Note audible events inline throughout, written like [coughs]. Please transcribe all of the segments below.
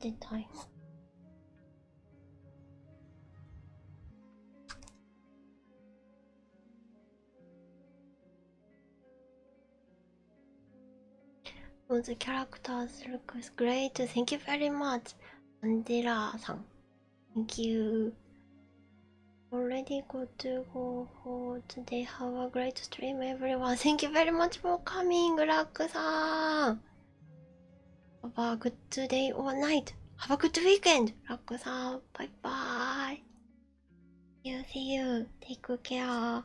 Did I? All the characters look great. Thank you very much, Andela-san. Thank you. Already got to go for today. Have a great stream, everyone. [laughs] Thank you very much for coming, Raku. バックさん Have a good day or night. Have a good weekend. ラックさん、バイバーイ。You see you. Take care.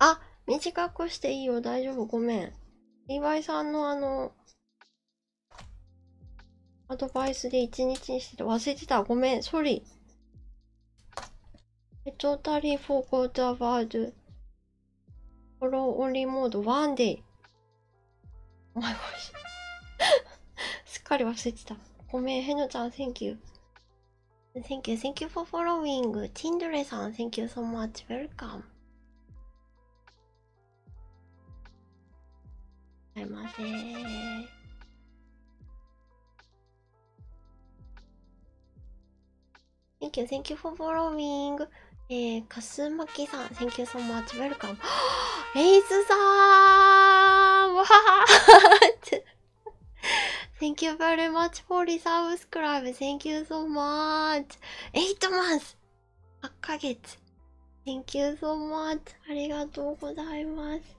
あ、短くしていいよ。大丈夫。ごめん。岩井さんのあの、アドバイスで一日にしてて忘れてた。ごめん。ソリ。I totally forgot about follow only mode one day. お前欲しい。すっかり忘れてた。ごめん、へのちゃん、Thank you。Thank you, thank you for following. Tindre さん、Thank you so much. Welcome. いません。Thank you, thank you for following. えー、かすマッキーさん、Thank you so much, welcome. レイズさーんわー Thank you very much for the subscribe. Thank you so much. 8 months! 8ヶ月。Thank you so much. ありがとうございます。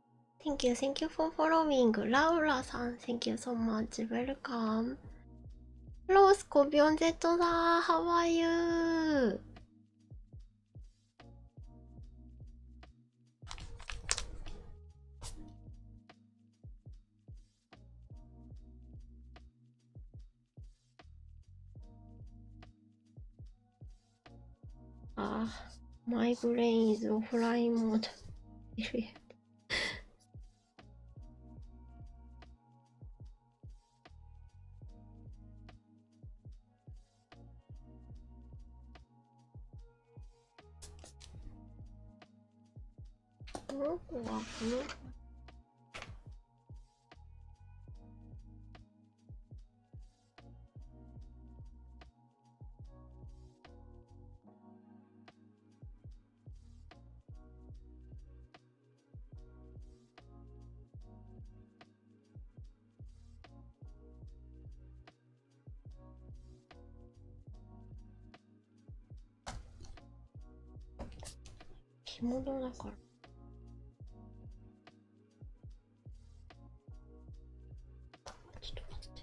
Thank you, thank you for following. Laura さん、Thank you so much. Welcome. ロースコビオン Z だ。How are you? あ Ah, my brain is offline mode. Period. oh, 着物だから。ちょっと待って。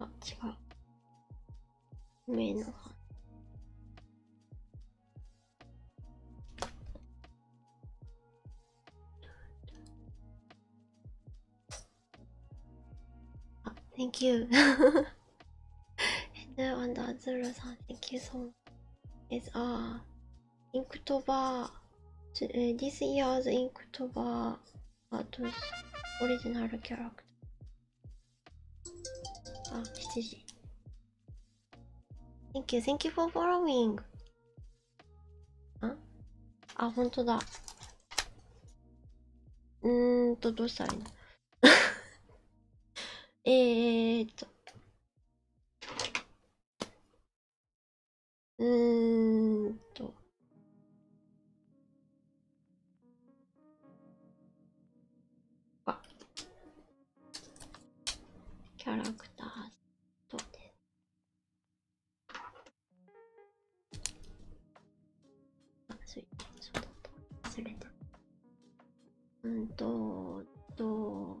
あ、違う。メインの方。Thank you. and uh, on r s i d thank you so much. is a Inktober. This year's Inktober art's original character. あ、7時。Thank you, thank you for following. あ、あ、本当だ。うーんと、どうしたらいいのえーっと。うんと。あ。キャラクターとて。あ、そういそうだった。忘れた。うんと、と。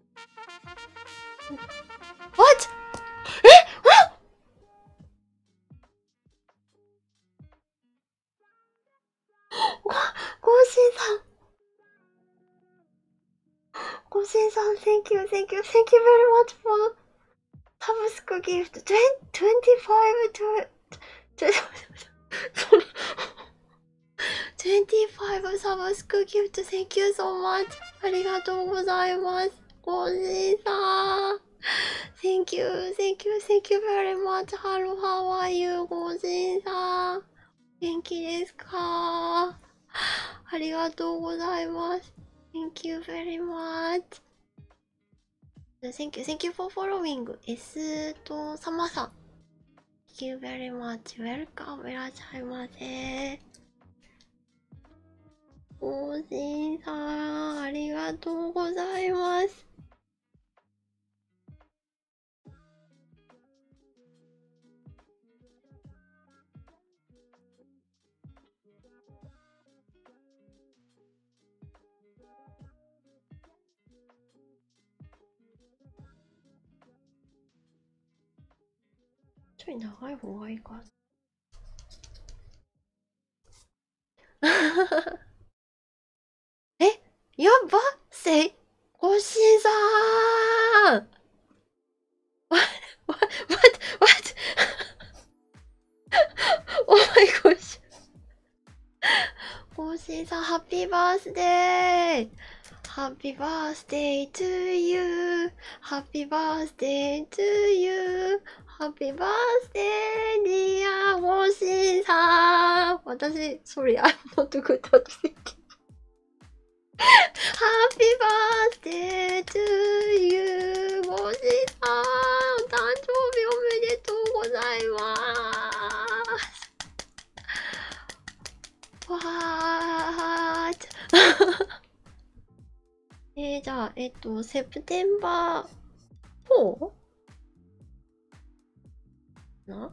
What? えあご、ごしんさん。ごしんさん、thank you, thank you, thank you very much for Tabasco gift. 25 to, to, 25 Tabasco gift. Thank you so much. ありがとうございます。コージーさん Thank you, thank you, thank you very much. Hello, how are you, コージーさん元気ですかありがとうございます。Thank you very much. Thank you, thank you for following. S とサマさん。Thank you very much. Welcome. いらっしゃいませ。更新さんありがとうございます。ちょい長い方がいいか。[laughs] えやばせいおしさーん What? What? a [laughs] oh my gosh. コーシーさん、ハッピーバースデーハッピーバースデー to you! ハッピーバー birthday to you! Happy birthday, dear モシンさん私、sorry, I'm not good at thinking. Happy birthday to you! モシンさんお誕生日おめでとうございますわーえじゃあ、えっ、と、セプテンバー 4? な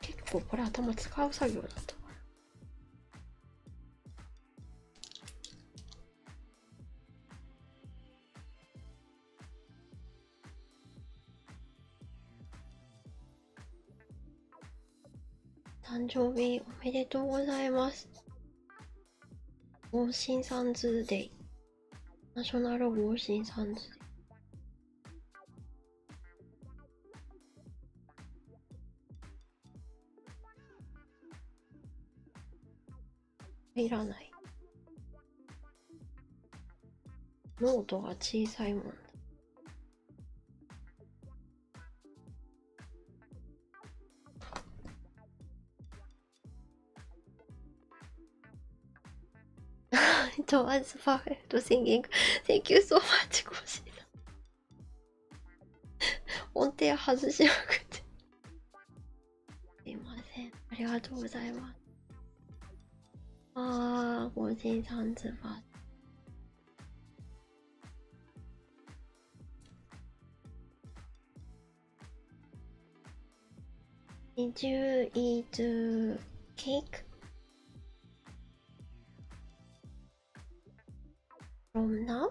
結構これ頭使う作業だった誕生日おめでとうございます。王神さんズーデイ。ナショナル王神さんズーデイ。入らないノートが小さいもんだ towards perfect singing. Thank you so much, コシー音程外しまくってすいません。ありがとうございます。ああ、53つば。Did you eat cake from now?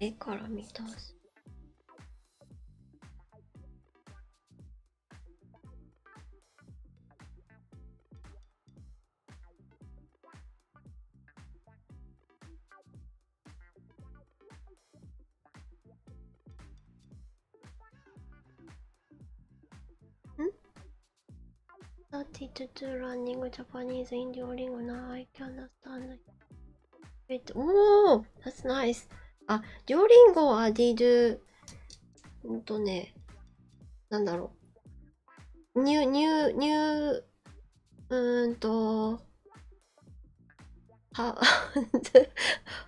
絵から見たす。32 running Japanese in Duolingo now I can understand it. Wait, oh, that's nice. あ、Duolingo は they do うんとね、なんだろう。ニュー、ニュー、ニュー、うーんと、は、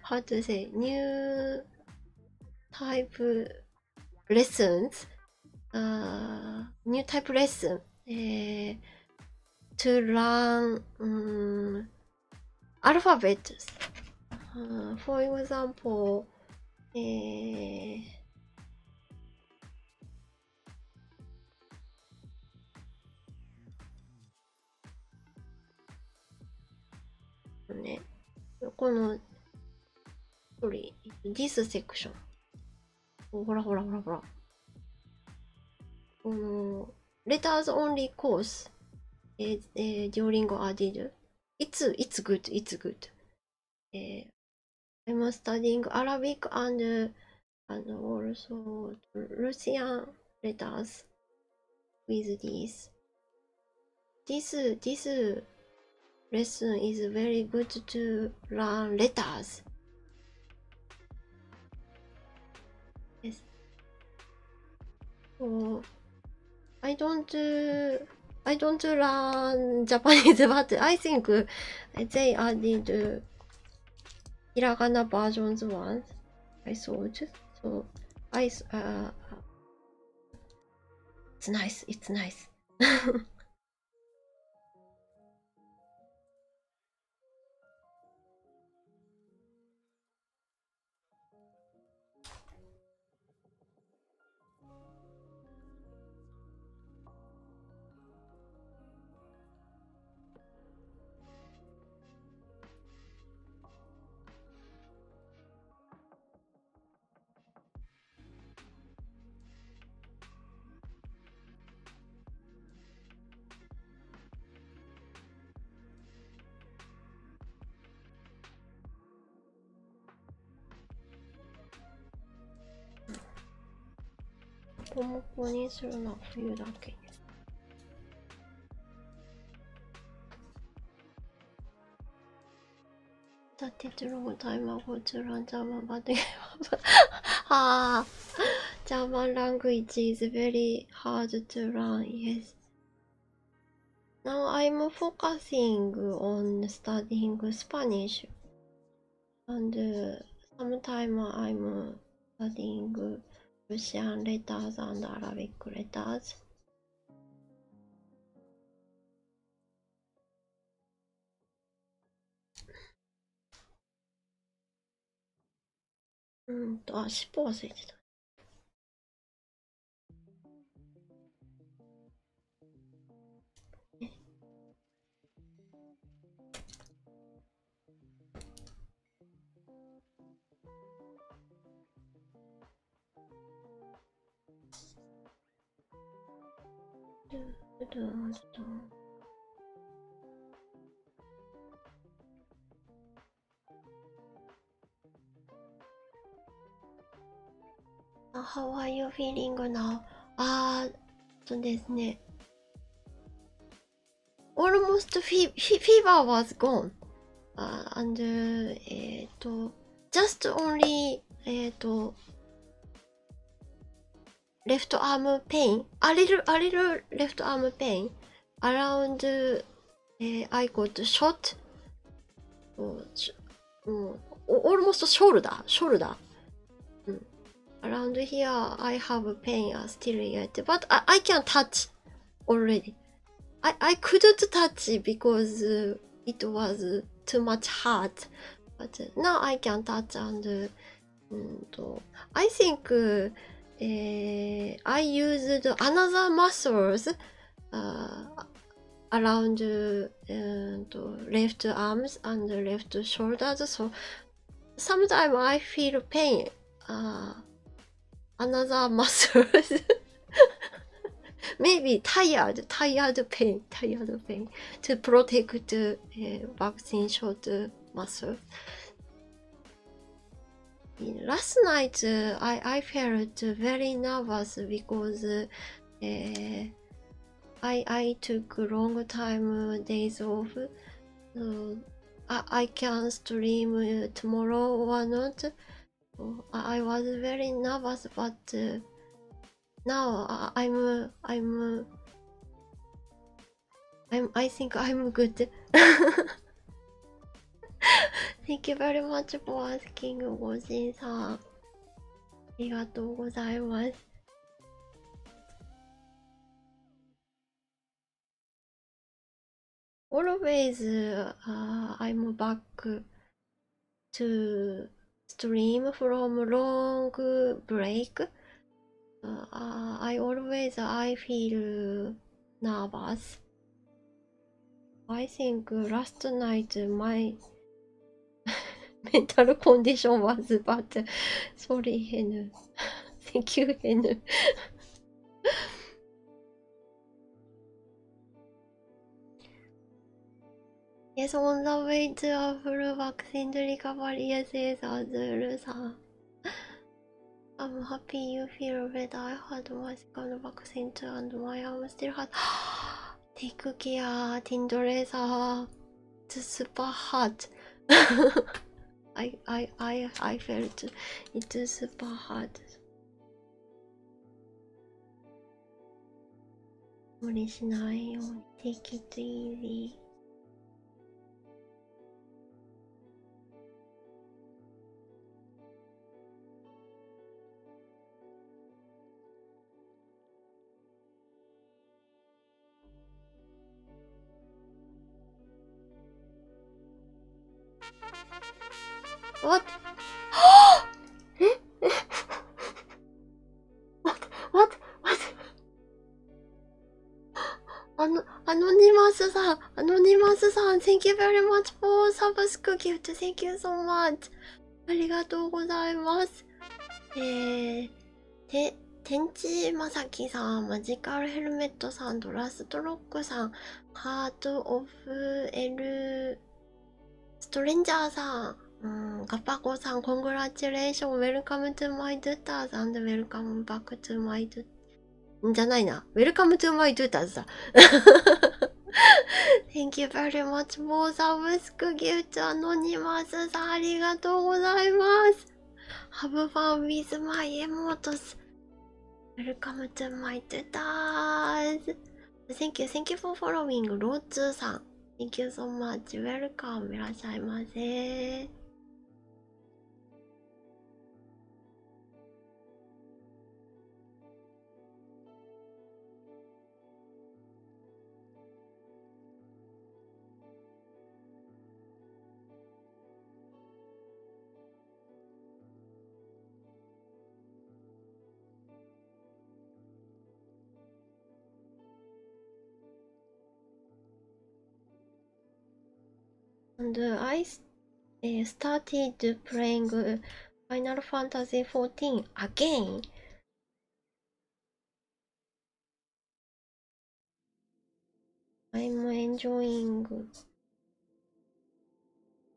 how to say, new type lessons, uh, new type lesson uh, to learn um, alphabets. Uh, for example, uh, ね、この、これ、this section。ほらほらほらほら。この、letters only course is, uh, during a did. It's, it's good, it's good. Uh, I'm studying Arabic and, and also Russian letters with this. This, this lesson is very good to learn letters. Yes. Oh, I don't, I don't learn Japanese, but I think they added hiragana versions once. I thought so. I, uh, It's nice, it's nice. ここも購入するのは冬だけ。that takes a long language is very hard to learn. Yes. Now I'm focusing on studying Spanish, and uh, sometimes I'm studying Russian letters and Arabic letters. うんと、あ、尻尾がついてた。ルールをとあ、How are you feeling now? あー、そうですね。Almost fever was gone. あ、and えっと。just only えっ、ー、と left arm pain a little a little left arm pain around、えー、I got shot almost shoulder shoulder around here I have pain still yet but I, I can touch already I I couldn't touch because uh, it was too much hot, but uh, now I can touch and. Uh, uh I think I used another muscles around left arms and left shoulders, so sometimes I feel pain. another [laughs] muscles. Maybe tired, tired pain, tired pain to protect t h vaccine short muscle. Last night uh, I, I felt very nervous because uh, I, I took long time days off. Uh, I, I can stream tomorrow or not. Oh, I was very nervous, but uh, now I'm I'm I'm I think I'm good. [laughs] Thank you very much for asking, Gojin さん。ありがとうございます。Always, uh, I'm back. to stream from long break. Uh, I always I feel nervous. I think last night my mental condition was bad. Sorry, Hen. Thank you, Hen. Yes, on the way to a full vaccine to recover. Yes, yes, others are. I'm happy you feel better. I had my second vaccine too, and my arm still hurt. [gasps] Take care, Tindoresa. It's super hot. [laughs] I, I, I, I felt it's super hot. 無理しないようにできていっ [gasps] え。って待ってってあのアノニマスさんアノニマスさん Thank you very much for subscribe i f t Thank you so much ありがとうございますえーて天地正樹さんマジカルヘルメットさんドラストロックさんハートオフエルストレンジャーさん、ガパコさん、コングラチュレーション、ウェルカムトゥマイドゥターズ、アンドウェルカムバックトゥマイドゥーターズ。じゃないな。ウェルカムトゥマイドゥターズだ。[laughs] Thank you very much for the whisk g さん、ありがとうございます。Have fun with my emotes. Welcome to m Thank you, thank you for following ローツーさん Thank you so much, welcome いらっしゃいませ And uh, I uh, started playing uh, Final Fantasy XIV again. I'm enjoying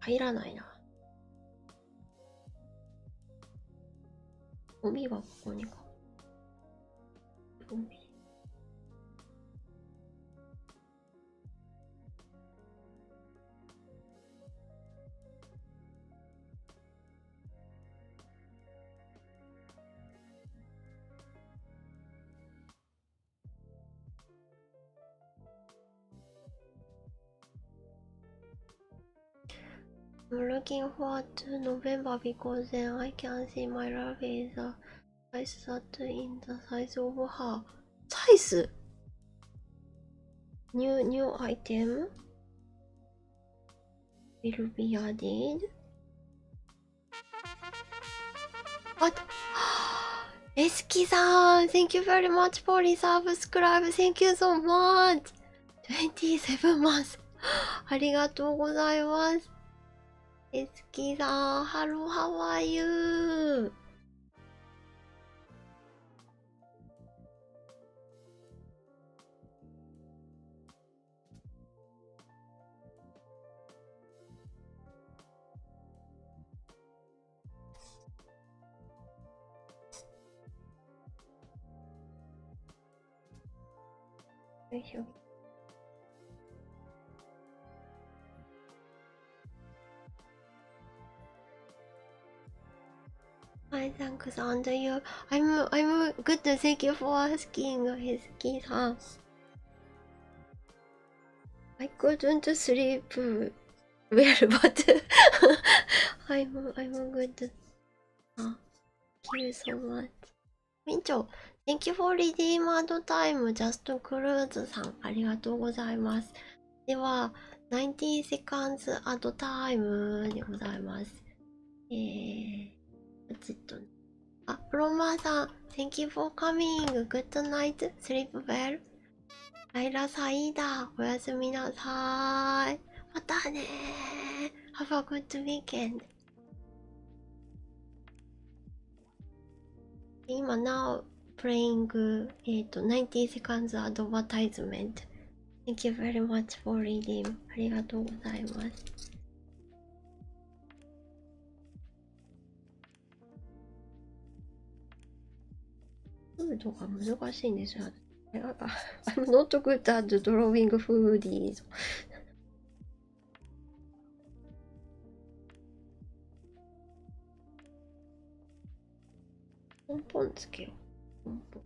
入らないな。ゴミはここにか。ゴミ。I'm looking forward to November because then I can see my rabbit is a uh, size that in the size of her size. New new item will be added. What? Eski-san, thank you very much for the subscribe. Thank you so much. Twenty-seven months. ありがとうございます。エスキさん、a n hello, how are you? Thank you. Hi, thanks, Andrew. I'm I'm good. Thank you for asking. His guitar. I couldn't sleep well, but I'm, I'm good. Ah, thank you so much. Mincho, thank you for redeemed time. Just cruise さん、ありがとうございます。では、19 seconds at time でございます。えー、ポチッと。あ、プロマーさん、Thank you for coming. Good night. Sleep well. ライラサイダー。おやすみなさい。またねー。Have a good weekend. 今なお、playing、えっと、90 seconds advertisement. Thank you very much for reading. ありがとうございます。フードが難しいんですよ。I'm not good at drawing foodies. ポンポンつけよう。ポンポン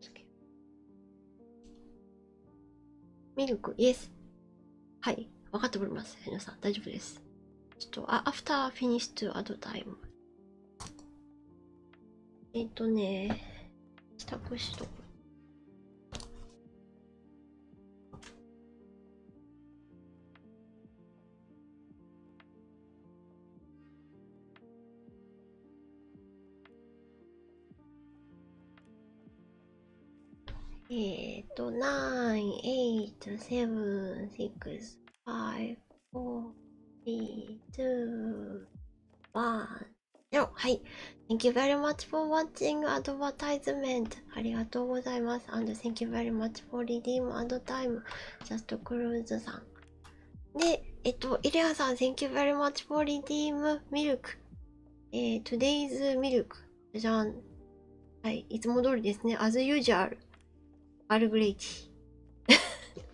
つけよう。ミルク、イエス。はい、分かっております。皆さん、大丈夫です。ちょっと、あ、アフターフィニッシュアドタイム。えっ、とね、支宅しとく。えっ、ー、と、9、8、7、6、5、4、3、2、1、0。はい。Thank you very much for watching advertisement. ありがとうございます。And thank you very much for redeem and time. Just cruise さん。で、えっと、イレアさん、Thank you very much for redeem milk.、えー、Today's milk. じゃん。はい、いつも通りですね。as usual。アルグレイティ。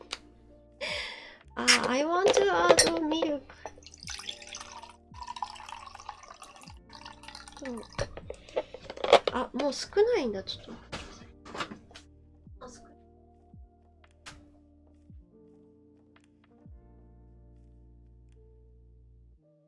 [laughs] ああ、I want to add milk。あ、もう少ないんだ、ちょっと。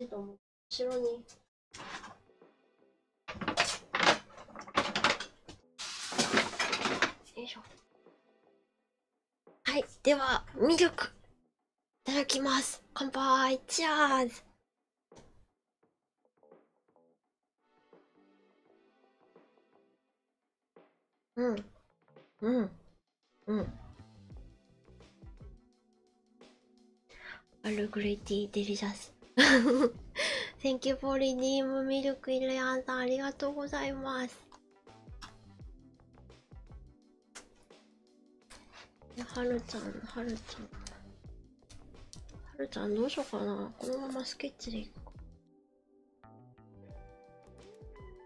ちっと後ろによいしょはいではミルクいただきます乾杯チャーズうん。うん。うん。All great, delicious. Thank you for redeem milk, イレアンさん。ありがとうございます。はるちゃん、はるちゃん。はるちゃんどうしようかな。このままスケッチでいくか。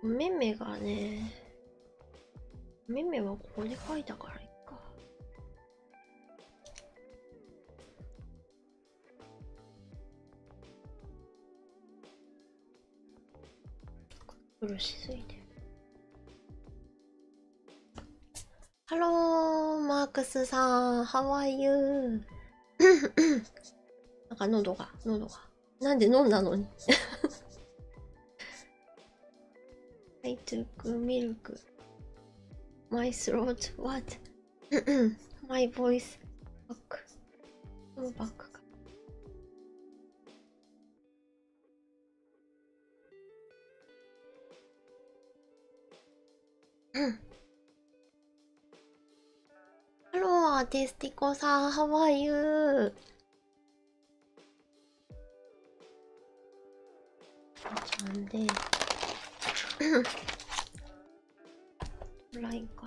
おめめがね、おめめはここで描いたからいっか。苦しすぎて。ハローマークスさん、ハワイユー。なんか喉が、喉が。なんで飲んだのに。I took milk. My throat, what? [coughs] My voice, back. もうバックか。ハローテスティコさんハワ w are you? ラインか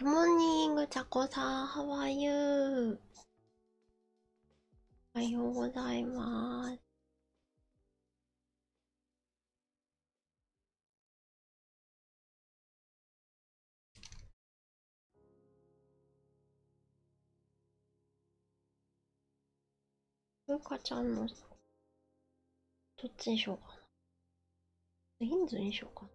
モーニング、ちゃこさん、ハワイユー。おはようございます。ふうかちゃんの、どっちにしようかな。ヒンズにしよう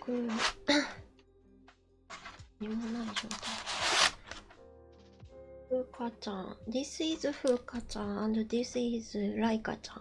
く何ふうかちゃんディスイ is ふうかちゃんディスイ h ライカちゃん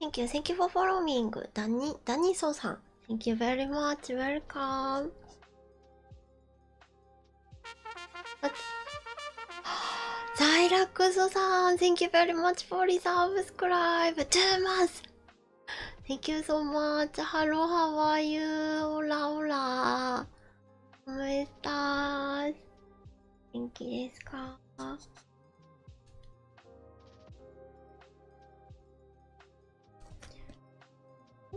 Thank you, thank you for following. ダニ、ダニソさん。Thank you very much. Welcome. ザイラックスさん。Thank you very much for resubscribe. Two months. Thank you so much! Hello, how are you? Hola, hola! おめでとう元気ですかな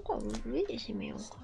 んか上で締めようかな。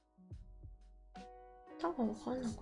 多分分かんなかった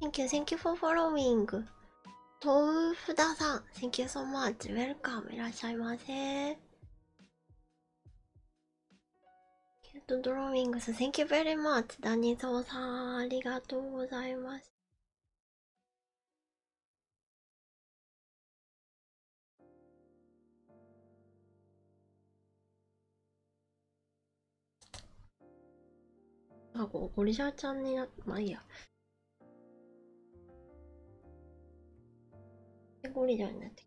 Thank you, thank you for following. 豆腐田さん、thank you so much. Welcome. いらっしゃいませ。キュートドローイングス、Thank ベ o マ v チダニソーさん、ありがとうございます。あ、ゴリジャーちゃんになまあいいや。ゴリジャーになってき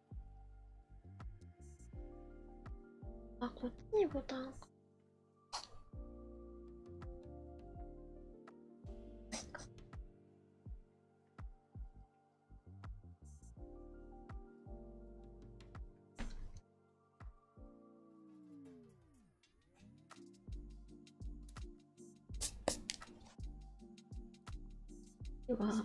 あ、こっちにボタンでは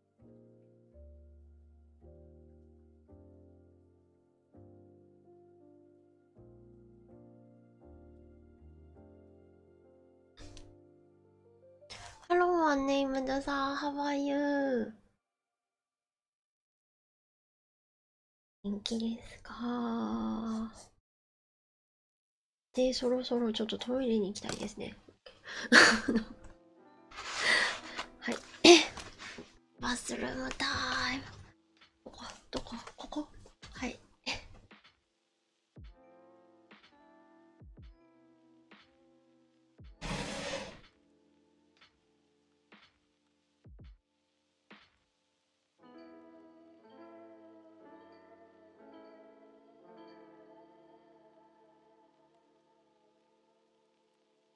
Hello, my name is Dasa. How are you? 元気ですかで、そろそろちょっとトイレに行きたいですね。[laughs] はい。え。バスルームタイム。ここ、どこ、ここはい。え。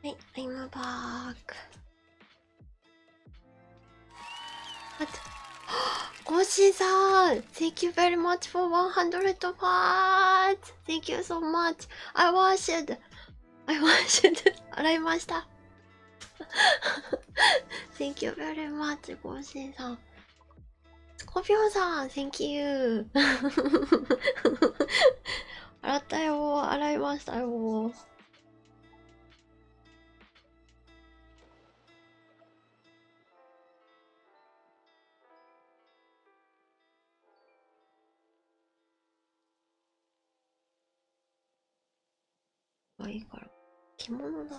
はい、I'm back. What? コーシーさん Thank you very much for 100 parts! Thank you so much! I washed! I washed! 洗いました Thank you very much, ゴーシンさん。スコピオさん、Thank you! 洗ったよ、洗いましたよ。がいいから着物だ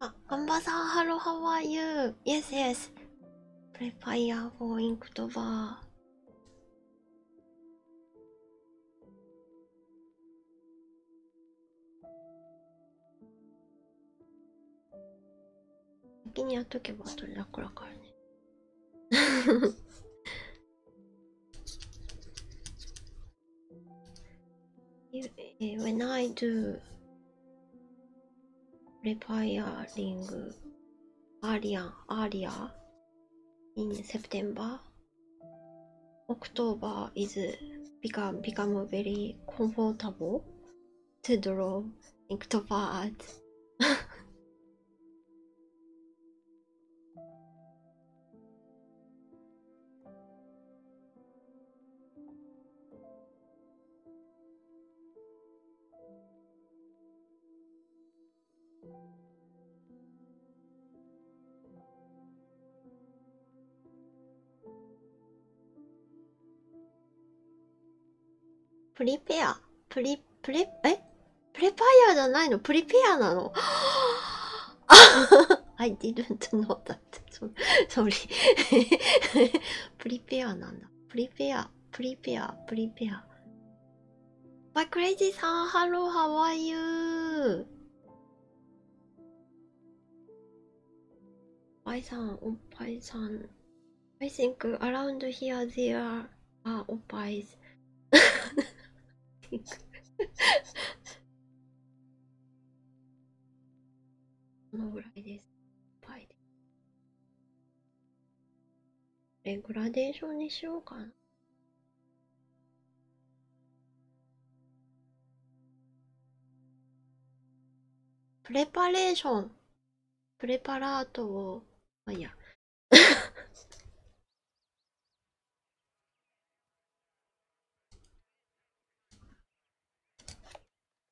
あ、ガンバサん、ハロハワイユー。Yes, yes. Prepare for i n k t o b 先にやっとけば後でこだからね。[laughs] Eh, when I do repairing earlier, earlier in September, October is become become very comfortable to draw to art. [laughs] プリペアプリ、プレ、えプレパイヤーじゃないのプリペアなの ?I didn't k n だっそれ [laughs] [laughs] プリペアなんだプリペアプリペアプリペアバっクレイジーさんハローハワイユーバイさんおっぱいさん I think around here there are おっぱい [laughs] このぐらいです。いっぱグラデーションにしようかな。プレパレーション。プレパラートを、まあ、いいや。[laughs]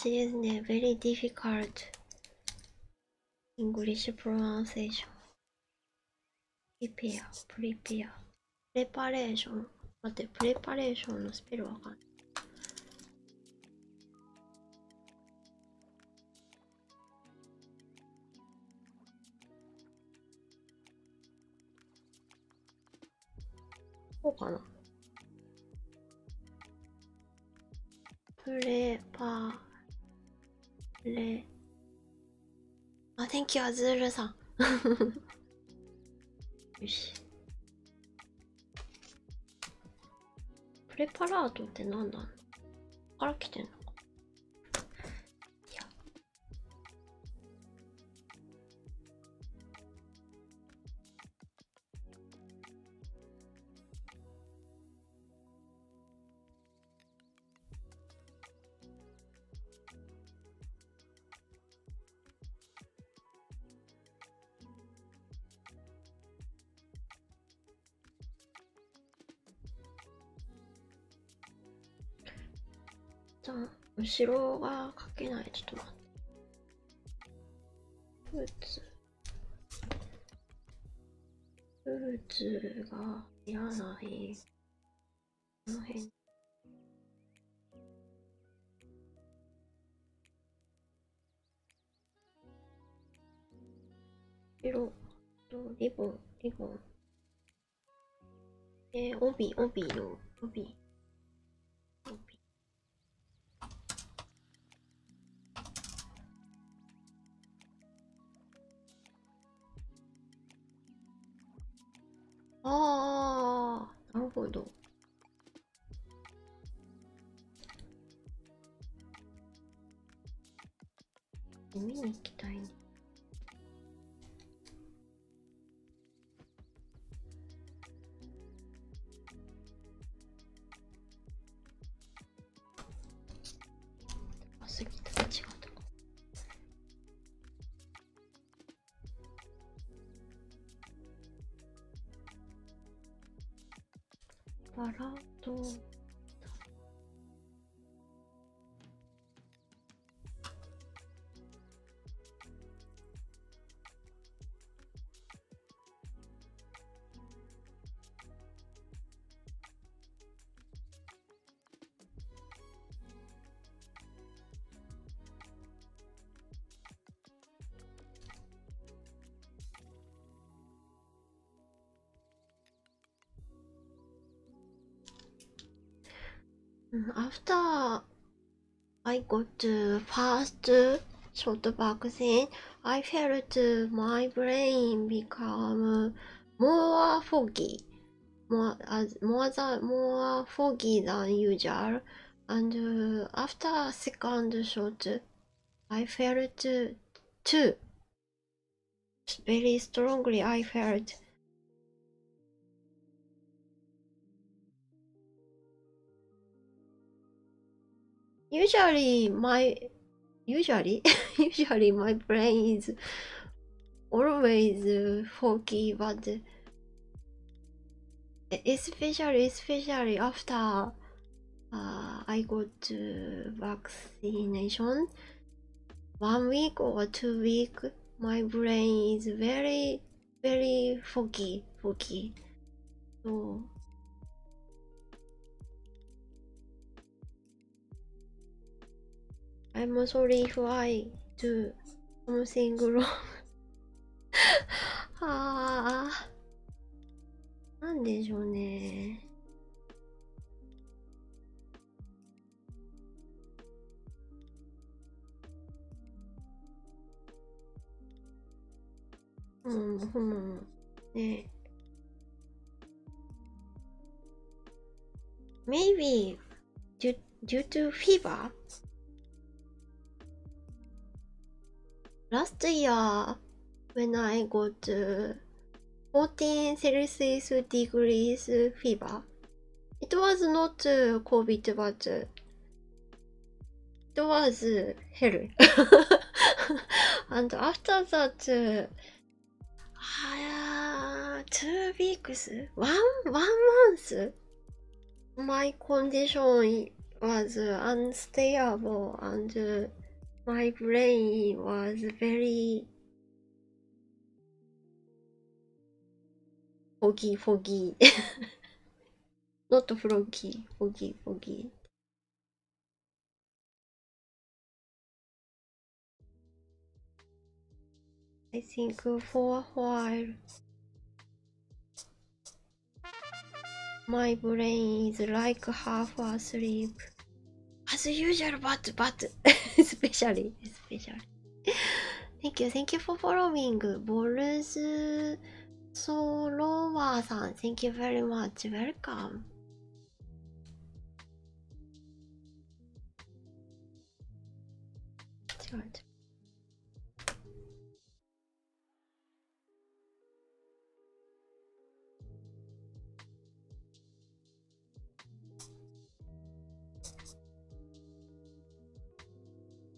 She is a very difficult English pronunciation. Prepare, prepare. プレパレーション待ってプレパレーションのスペルわかんないこうかなプレパレあ、天気はズールさん [laughs] よしプレパラートって何なの。から来てんのかいや後ろが書けない。ちょっと待って。ブーツブーツがいないこの辺白とリボンリボンえー、帯帯の帯帯ああ、なるほど。見に行きたいね。すぎたら違うと思う。バラと。うん、ア I got the first shot of vaccine. I felt my brain become more foggy, more as more than more foggy than usual. And uh, after second shot, I felt too very strongly. I felt Usually my usually [laughs] usually my brain is always foggy but especially especially after uh, I go to vaccination one week or two week my brain is very very foggy, foggy. So, I'm sorry if I do something wrong. はあ、なんでしょうね。うん、ほんね Maybe due, due to fever? Last year, when I got to 14 Celsius degrees fever, it was not COVID but It was hell. and after that, uh, two weeks, one one month, my condition was unstable and my brain was very foggy, foggy. [laughs] Not the froggy, foggy, foggy. I think for a while my brain is like half asleep as usual but but [laughs] especially especially Thank you, thank you for following. Boruz Solowa san, thank you very much. Welcome.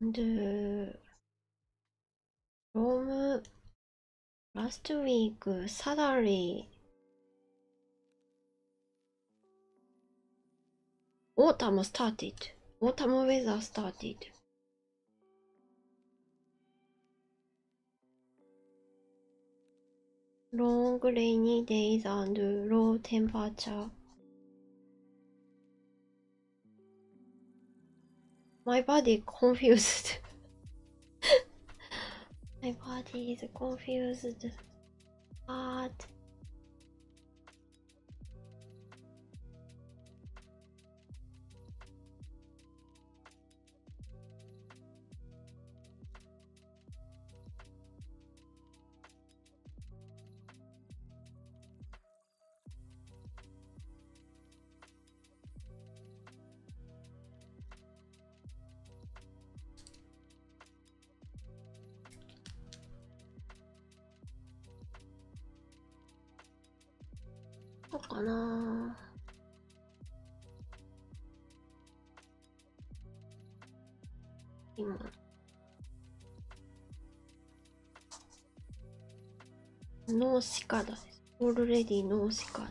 で、ローム、ラストウィーク、サラリー、Autumn started. Autumn weather started. Long rainy days and low temperature. My body confused. [laughs] [laughs] My body is confused. What? こうかな今ノーシカだオールレディノーシカだ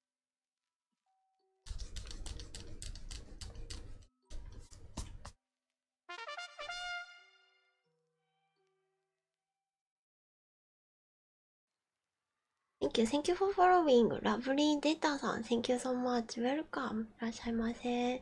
Thank you, thank you for following. Lovely data さん、Thank you so much. Welcome. いらっしゃいませ。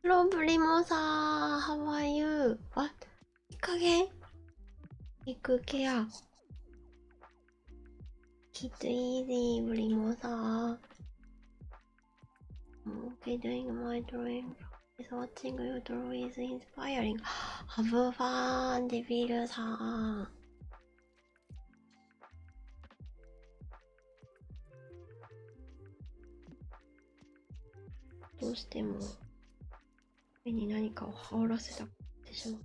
Hello, Primosa. How are you? What? Ikage? Take care. It's easy, Primosa. Okay, doing my drawing. Is watching you draw is inspiring. Have fun, Devil-san. どうしても目に何かを羽織らせたってしまう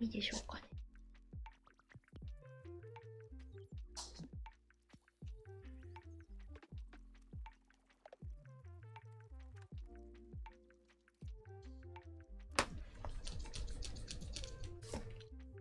いいでしょうかね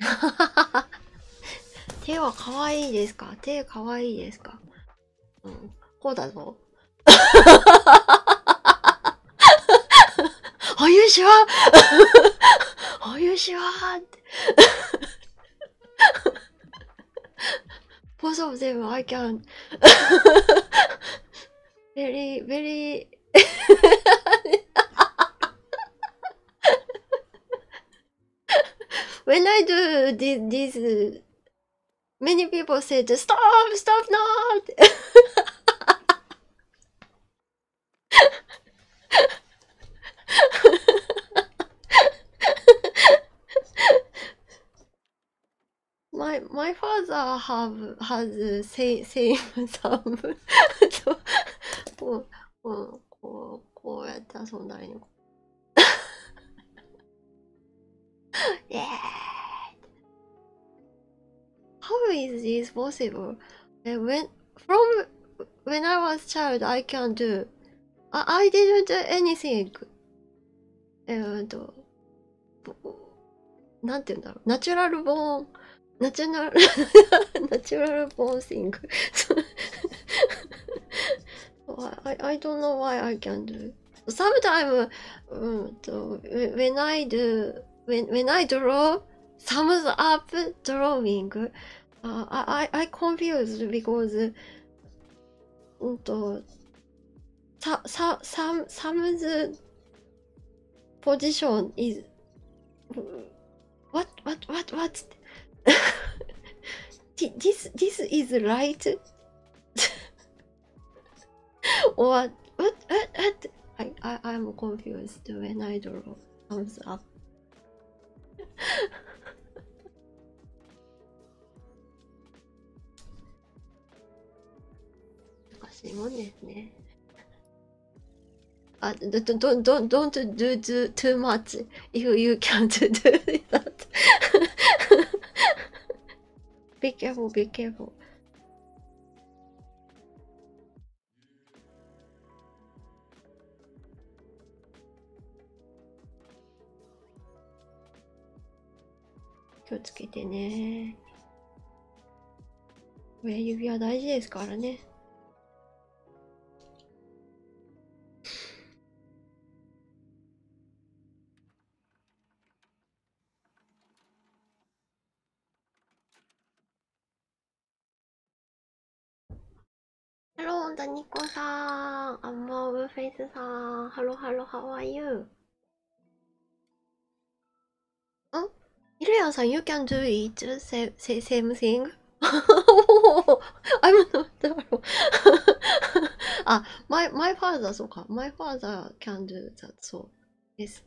[laughs] 手は可愛いですか手可愛いですかうん。こうだぞ。お湯しはお湯しはって Most of them I can very very [laughs] when I do this, this uh, many people say just stop stop not [laughs] my my father have has same same some こうこうこうこうやって遊んだりねイエーイ How is this possible? when from when I was child, I can not do. I, didn't do anything. Uh, natural, uh, なんて言うんだろうナチュラルボーンナチュラル [laughs] ナチュラルボーン thing [laughs] I, I don't know why I can not do sometimes um, when I do when when I draw thumbs up drawing, uh, I I I confused because, um, th th thumb thumbs position is what what what what [laughs] this this is right [laughs] What? What? What? what? I, I, I'm confused when I draw thumbs up. 難しいもんですね。あ、don't, don't, don't, don't do too, too much if you can't do that. be careful, be careful. 気をつけてね親指は大事ですからねハロー、ダニコさん、アンマオブフェイスさん、ハロハロ、ハワイユー。んイルヤさん、You can do it, same, same thing? I'm not the hero. あ、my, my father, そうか。My father can do that, そう。です。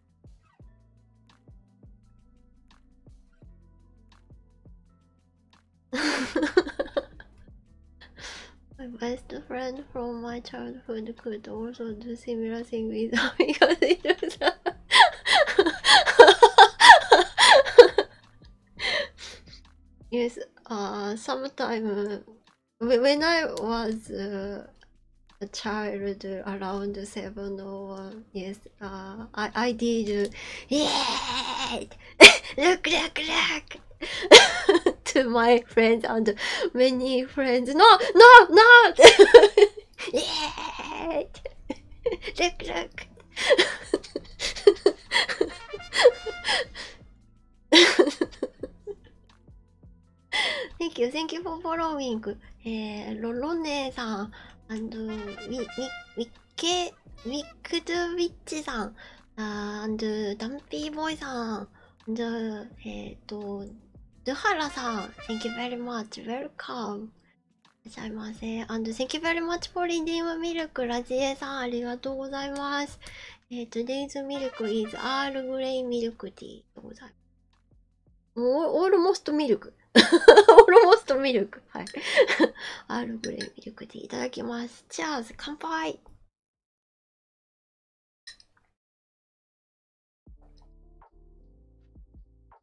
my best friend from my childhood could also do similar things with [laughs] because he does [laughs] Yes, uh, sometimes uh, when I was a child around seven or yes, uh, I I did yeah, [laughs] look look look [laughs] to my friends and many friends. No no no, [laughs] yeah, look look. Thank you, thank you for following. えー、ロロネさん、and ウィウィッケ、ウィックドゥウィッチさん、and ダンピーボーイさん、and えっ、ー、と、ドゥハラさん、Thank you very much, welcome. いらっしゃいませ。and thank you very much for reading milk, ラジエさん、ありがとうございます。えー、today's milk is Earl Grey milk tea でございます。オールモストミルク。[laughs] オールモストミルク。はい。アールグレイミルクでいただきます。チャーズ、乾杯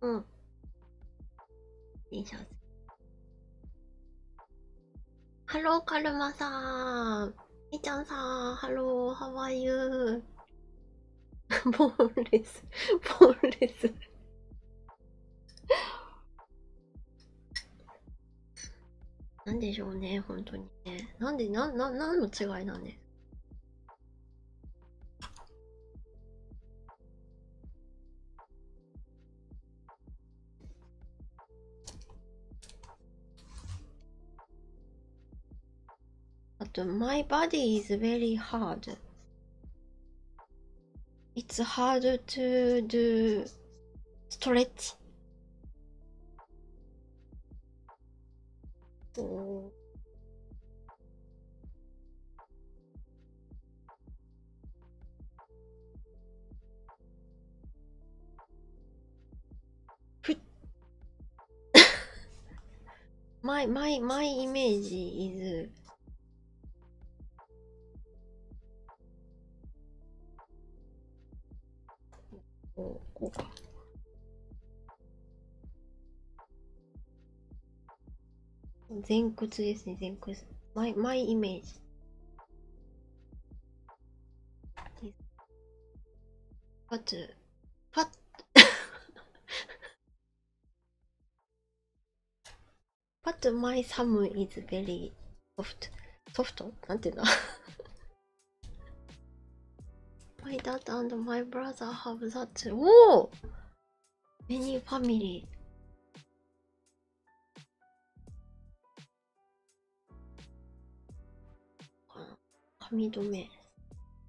うん。ハローカルマさん。みちゃんさん、ハロー、ハワイユー。[laughs] ボーンレス、ボーンレス。なんでしょうね、本当にね。なんで、な、な、なんの違いなんね、But my body is very hard. It's hard to do stretch. ふ my, my, my image is こうこうか。前屈ですね、前屈。マイ、マイイメージ。かつ、パッ But my thumb is very soft. Soft? なんていうんだ My dad and my brother have that. おお Many family. 髪留め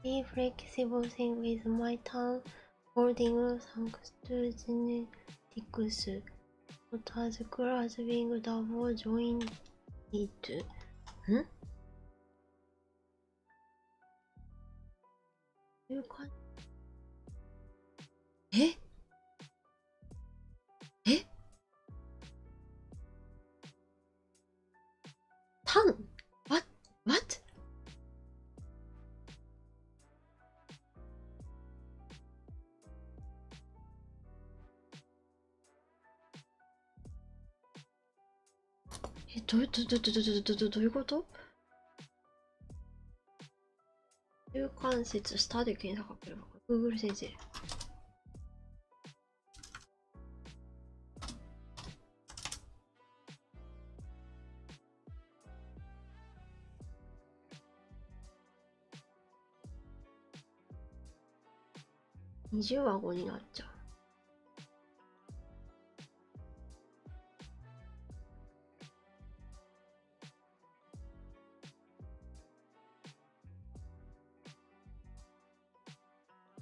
I Be flexible with my tongue, holding thanks to genetics. Not as cool as being double jointed. Hmm? ええタン ?What? What? え、どういうことどういうこと中間節下で検査かけるのか g o o g l 先生20は5になっちゃう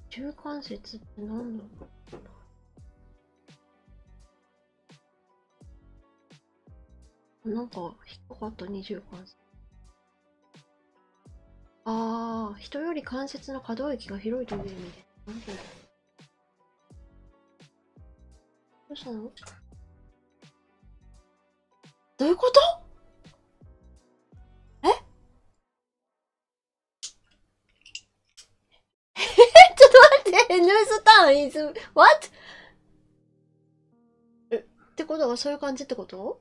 中間節って何だろうなんか低かった二重関節ああ人より関節の可動域が広いという意味でなるほどどうしたのどういうことえ [laughs] ちょっと待って、ニュースタウン is ワット。え、ってことはそういう感じってこと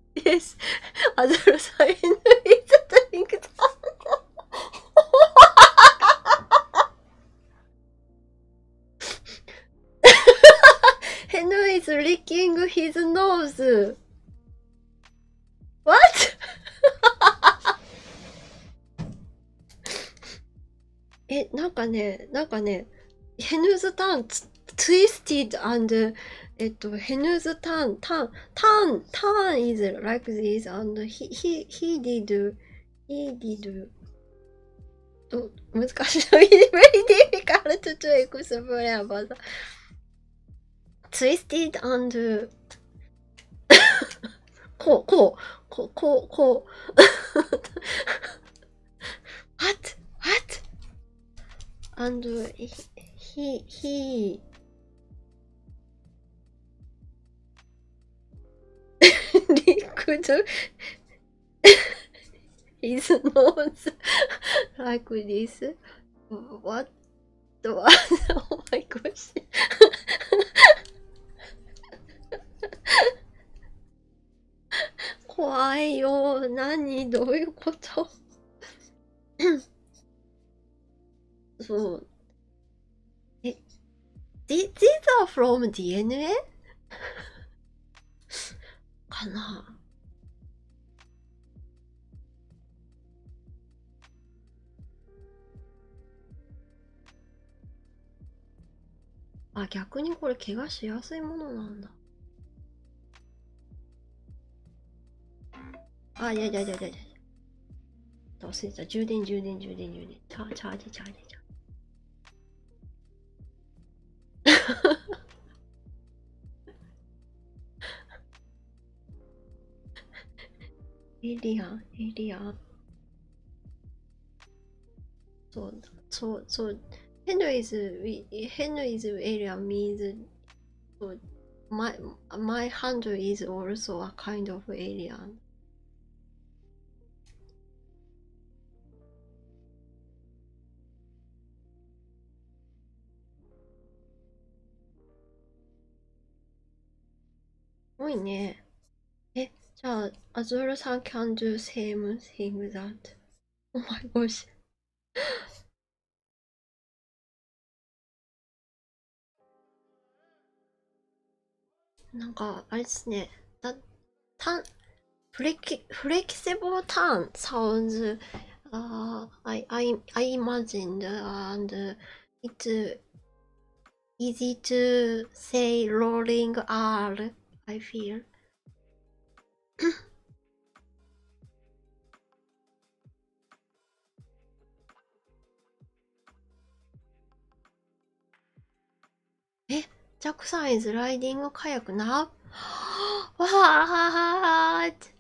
Yes, other sign is the drink down. Henry is licking his nose. What? え、なんかね、なんかね、ヘヌズターンつ twisted and えっと、Henu's turn, turn, turn, turn is like this, and he, he, he did, he did. と難しい。very [laughs] difficult to explain about that. Twisted and こう、こう、こう、こう、こう。what? [laughs] [laughs] what? and he, he, he licked his nose like this. What was? Oh my gosh. 怖いよ何どういうことそう。え、these are from DNA? かなあ、逆にこれ怪我しやすいものなんだ。あ、いやいやいやいやいや。忘れた。充電、充電、充電、充電。チャーチャージ、チャージ、チャージ。[laughs] エリアン、エリアン。そう、そう、そう。Henry's, Henry's area means So my my hand is also a kind of alien. Oi ne. Eh, so Azura-san can do same thing that. Oh my gosh. なんかあれですねだタンフレキフレキセブルターンサウンズ I, I, I imagined and it's easy to say rolling R I feel え、Jack San is riding a kayak now? What?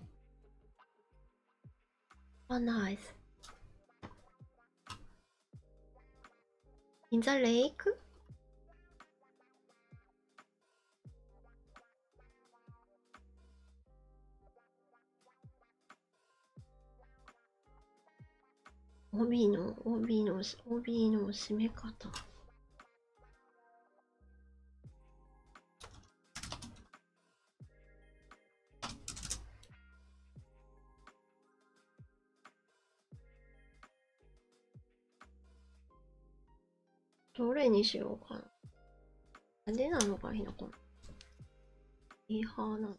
Oh, nice. In the lake? 帯の帯の帯の締め方どれにしようかな。派手なのがいいのかな。いい派なの。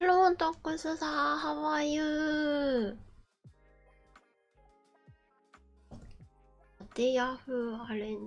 ロントックスさん、How are you? ディアフアレン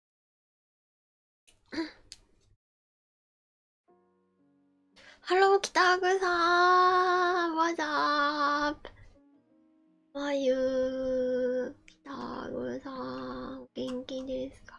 うん。ハロー、北グさん、わざーぷ。わゆー、北グさん、お元気ですか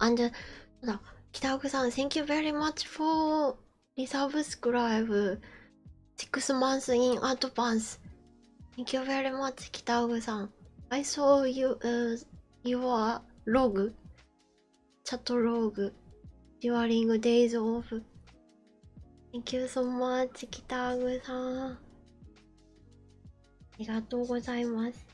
And uh, 北奥さん、Thank you very much for resubscribe six months in advance. Thank you very much, 北奥さん。I saw you, your log チャトローグ During Days of Thank you so much 北グさんありがとうございます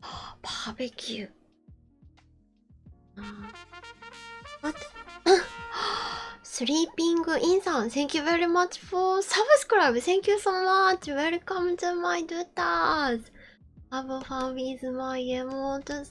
あバーベキューあ待ってスリーピングインさん Thank you very much for subscribe Thank you so much Welcome to my d o t a r s Have a fun with my emotes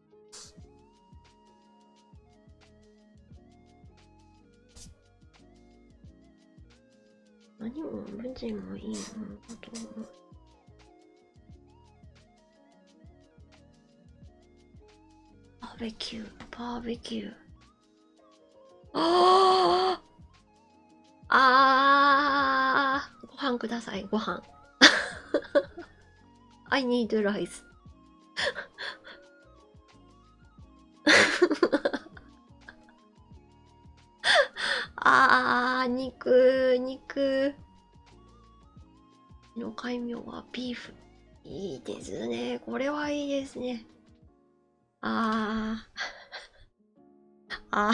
何も無人もいいものだとバーベキュー、バーベキュー。あああご飯ください、ご飯。I need rice [laughs] あー肉肉の戒名はビーフいいですねこれはいいですねあーあー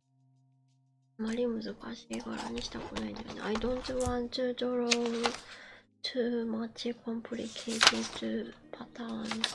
あまり難しい柄にしたくないんだよね。I don't want to draw too much complicated patterns.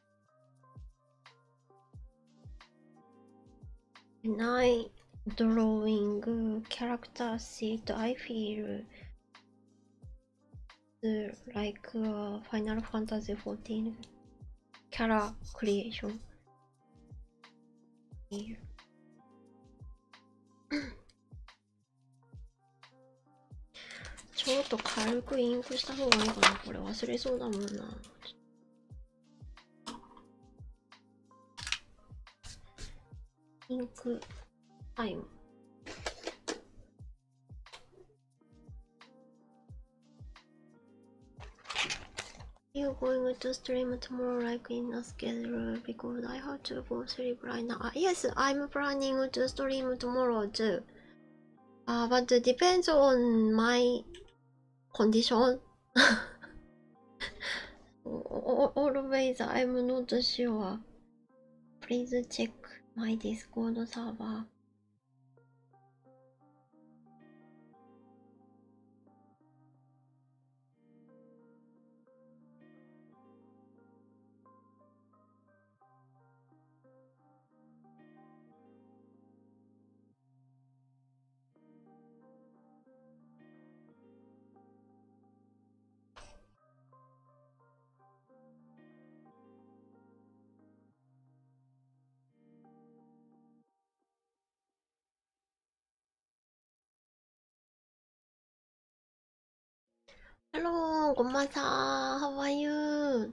And I drawing character sheet, I feel like a Final Fantasy 14 character creation. ちょっと軽くインクした方がいいかなこれ忘れそうだもんなピンクタイム you're going to stream tomorrow like in a schedule because I have to go sleep right now. Ah, yes, I'm planning to stream tomorrow too. Uh, but depends on my condition. Always I'm not sure. Please check my Discord server. Hello, Gommaza. How are you?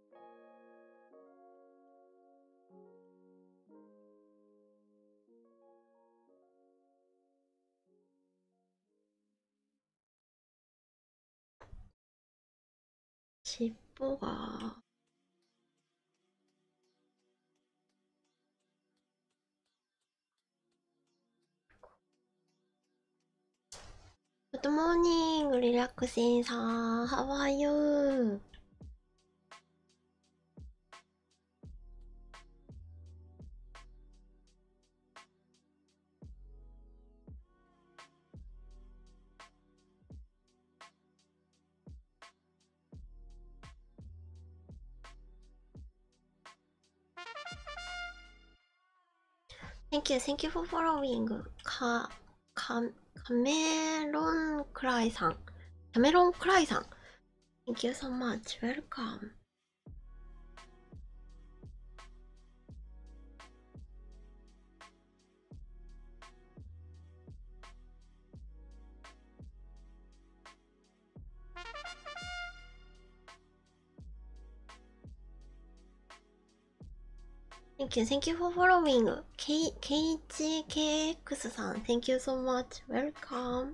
尻尾がグッドモーニングリラックスインさん、ハワイユー Thank you, thank you for following, Car. カメロンクライさん。キャメロンクライさん。Thank you so much. Welcome. Thank you, thank you for following. K KHKX you so much. Welcome. あ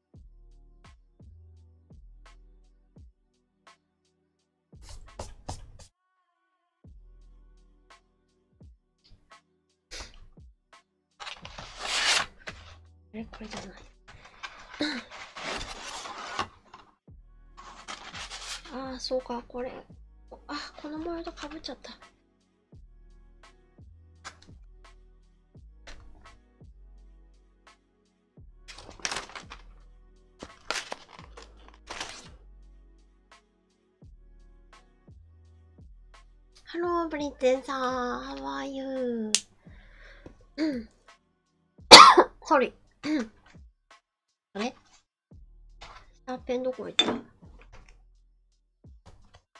えこれじゃないああそうかこれあこのモールドかぶっちゃった Hello, Britain. How are you? Sorry. あれシャーペンどこ行った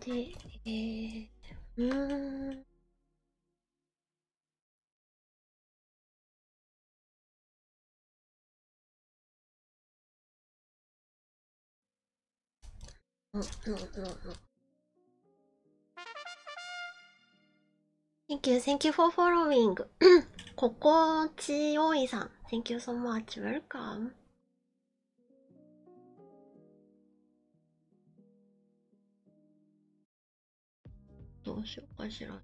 で、えー、うん。うんうんうんうん。Thank you, thank you for following. ここちおいさん。Thank you so much. Welcome. どうしようかしら。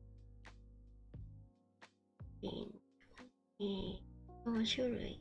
4種類。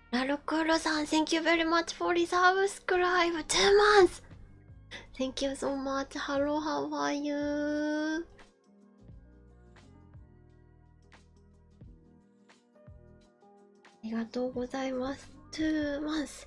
ラルクールさん、Thank you very much for the subscribe! 2 months! Thank you so much! Hello, how are you? ありがとうございます。2 months!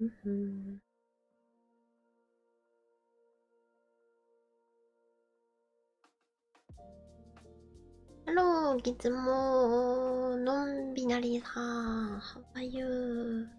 うんハロー、ギツモー、ノンビさん、ハワイユー。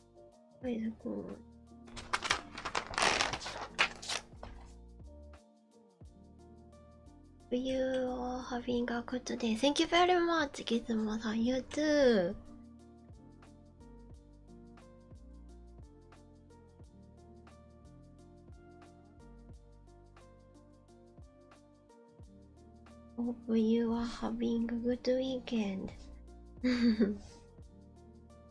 はいどこー You are having a good day. Thank you very much, Gizmo さん。You too. お o p e you are having a good weekend.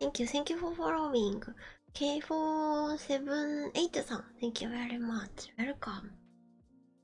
Thank you, thank you for following. K478 さん、Thank you very much. Welcome.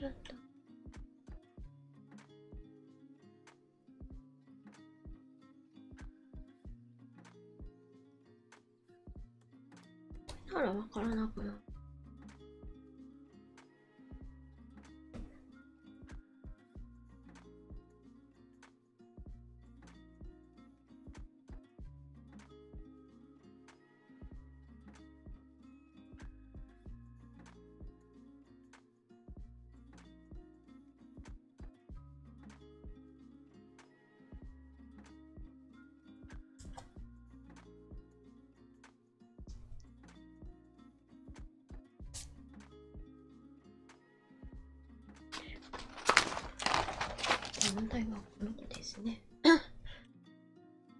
どんどんならわからなくなる。問題はこの子ですね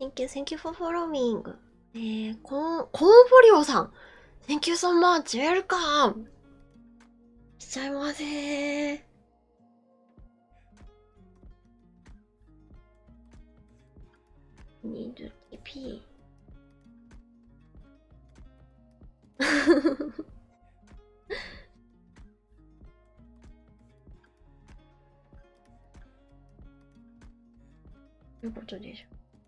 Thank you, thank you for following. えー、コーン、コーンフォリオさん Thank you so much, welcome! いちゃいませー2 p ということでしょ。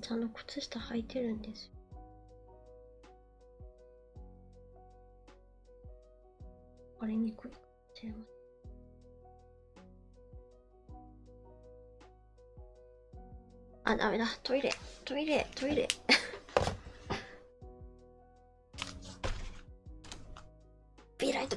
ちゃんの靴下履いてるんですよ。わかにくいあ、ダメだ。トイレ、トイレ、トイレ。[laughs] ビ e right b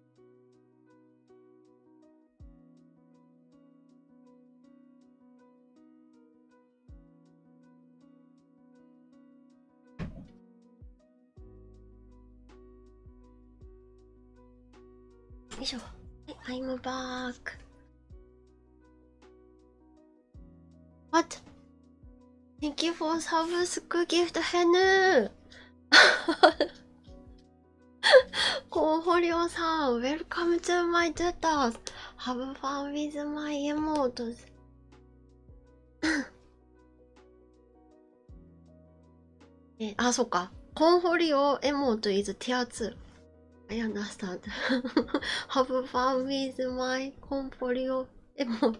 よいしょはい、I'm back What? Thank you for subscribe gift, Henu! コウホリオさん、ウェルカム to my tutors! Have fun with my emotes! え、あ、そっか。コンホリオエモート is tier 2. I understand. Have fun with my コンホリオエモート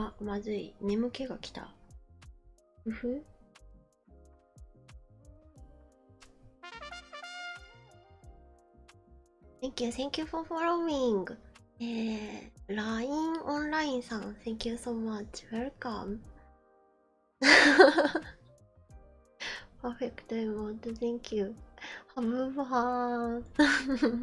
あ、まずい。眠気が来た。うふ Thank you, thank you for following. えー、LINE オンラインさん、Thank you so much. Welcome. Perfect emote, thank you. Have fun.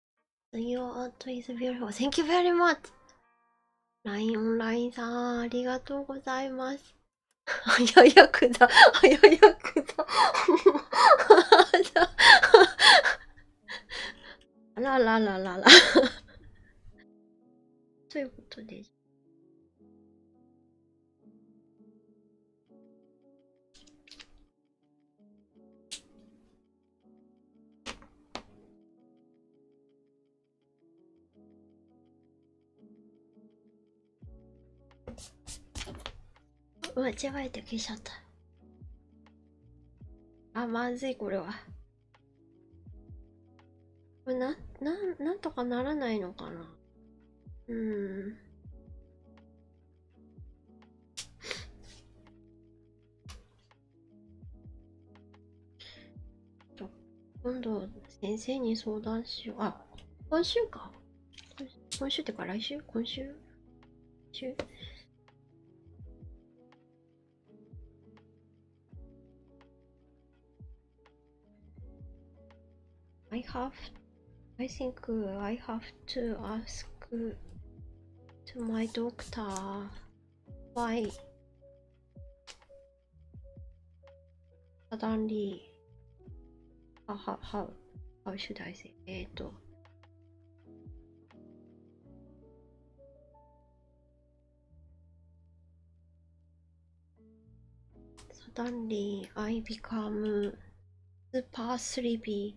Your art is t h a n k you very much. ラインオンラインさん、ありがとうございます。あややくだ、あややくだ。[laughs] あららららら。と [laughs] いうことです。うわ、ジェワて消しちゃった。あ、まずい、これは。これな、な、なんとかならないのかなうーん。と今度先生に相談しようあ今週か今週ってか来週今週週「I have I think I have to ask to my doctor why suddenly how how how, should I say it? Eh, suddenly I become super sleepy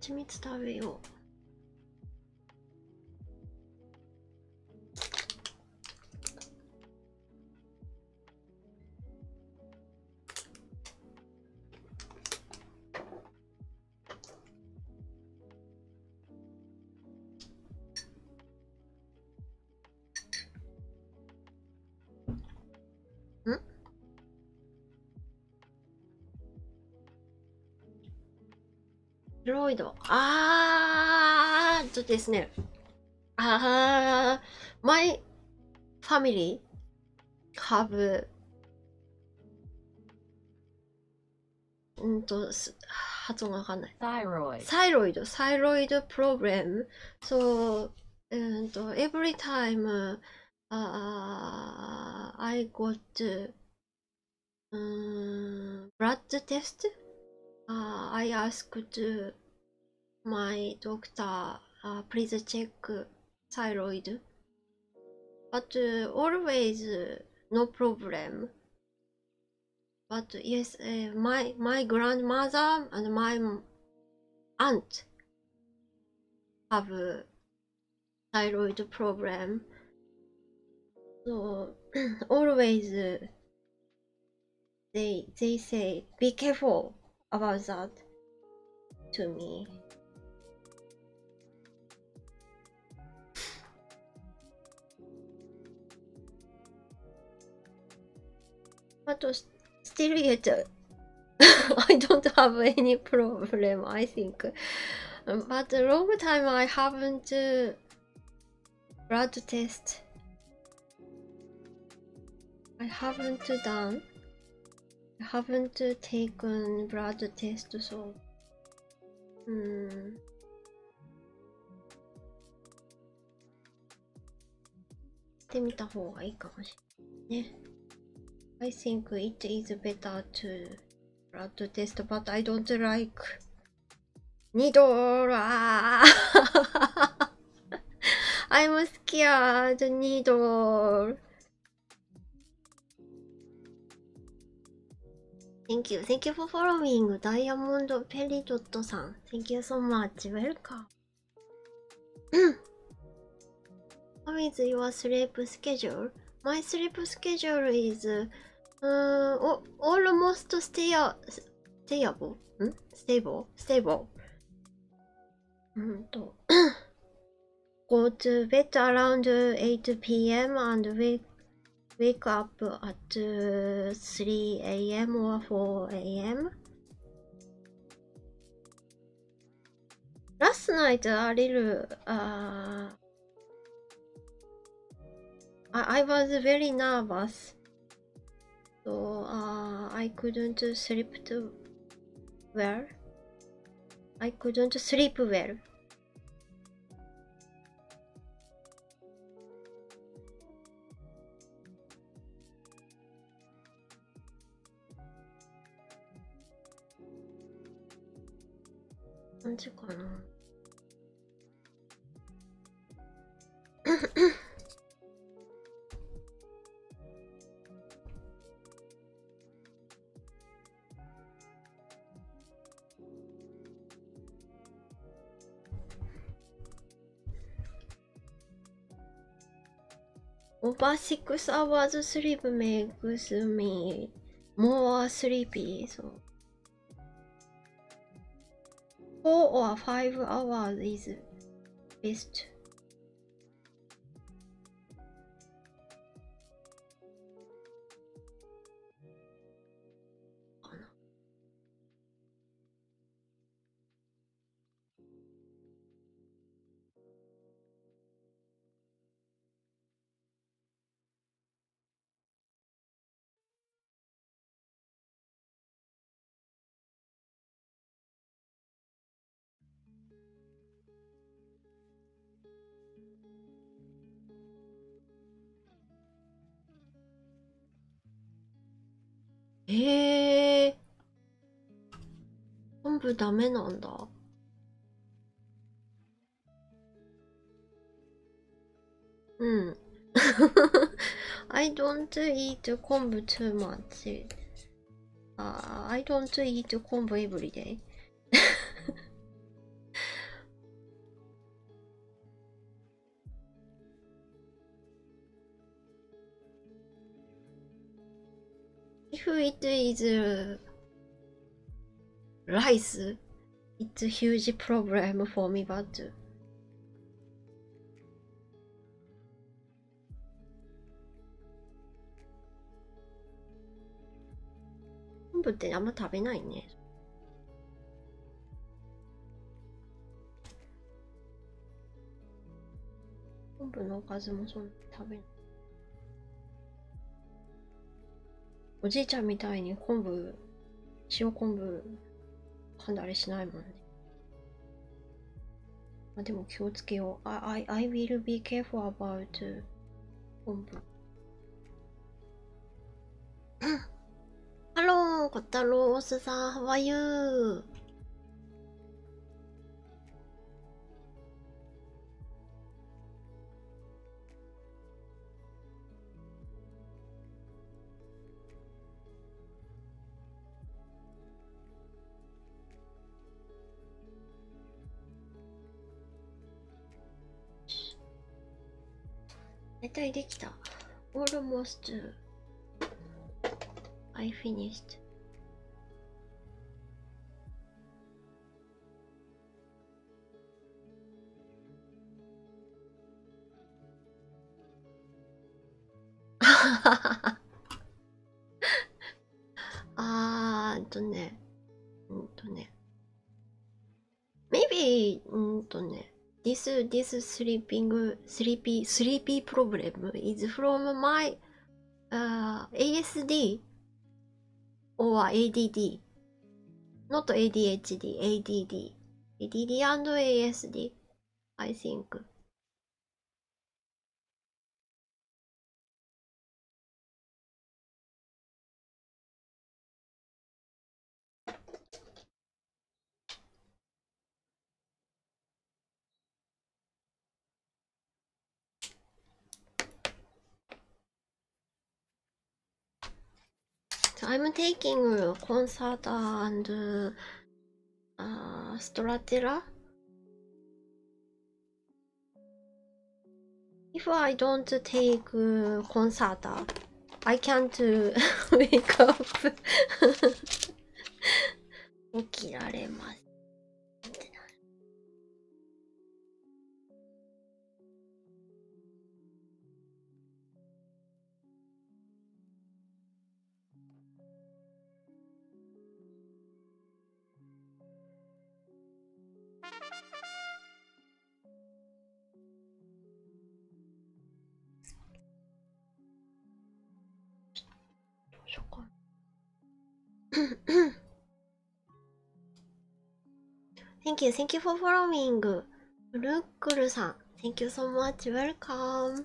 蜂蜜食べようんプロイド。あーとですね。ああ、my family have うんと、発音がわかんない。サイロイド。サイロイド、サイロイドプロブレム。そう、うんと、every time I got um, blood test. I asked my doctor, please check thyroid. But uh, always no problem. But yes, my my grandmother and my aunt have a thyroid problem so [clears throat] always uh, they they say be careful about that to me Still, stereotype. [laughs] I don't have any problem, I think. Um, but a long time I haven't uh, blood test. I haven't done. I haven't uh, taken blood test, so. Mm. ね。I think it is better to try to test, but I don't like. ニドラ I'm scared, needle. Thank you. Thank you for following. ダイヤモンドペリドットさん。Thank you so much. Welcome. How [clears throat] is your sleep schedule? My sleep schedule is uh, almost stia hmm? stable. Stable. Mm-hmm. Stable. [coughs] Go to bed around 8 p.m. and wake, up at uh, 3 a.m. or 4 a.m. Last night, a little. I, was very nervous, so I couldn't sleep well. I couldn't sleep well. 何時かな [laughs] Over six hours sleep makes me more sleepy. So four or five hours is best. ええ昆布ダメなんだうん I don't eat 昆布 too much、uh, I don't eat 昆布 every day If it is rice, it's a huge problem for me, but 昆布ってあんま食べないね。昆布のおかずもそんな食べない。おじいちゃんみたいに昆布塩昆布噛んだりしないもんねまあでも気をつけよう I, I, I will be careful about 昆布 [coughs] ハロー、コタロースさん、ハワイユー。大体できた。Almost I finished. あーっとね、うんとね。Maybe, うんとね。This, this sleeping, sleepy, sleepy problem is from my uh, ASD or ADD not ADHD ADD ADD and ASD I think So I'm taking concert and uh, stratera. If I don't take concert, I can't wake up. 起きられます。ってなるどうしようか [laughs] Thank you, thank you for following. ルックルさん、Thank you so much, welcome.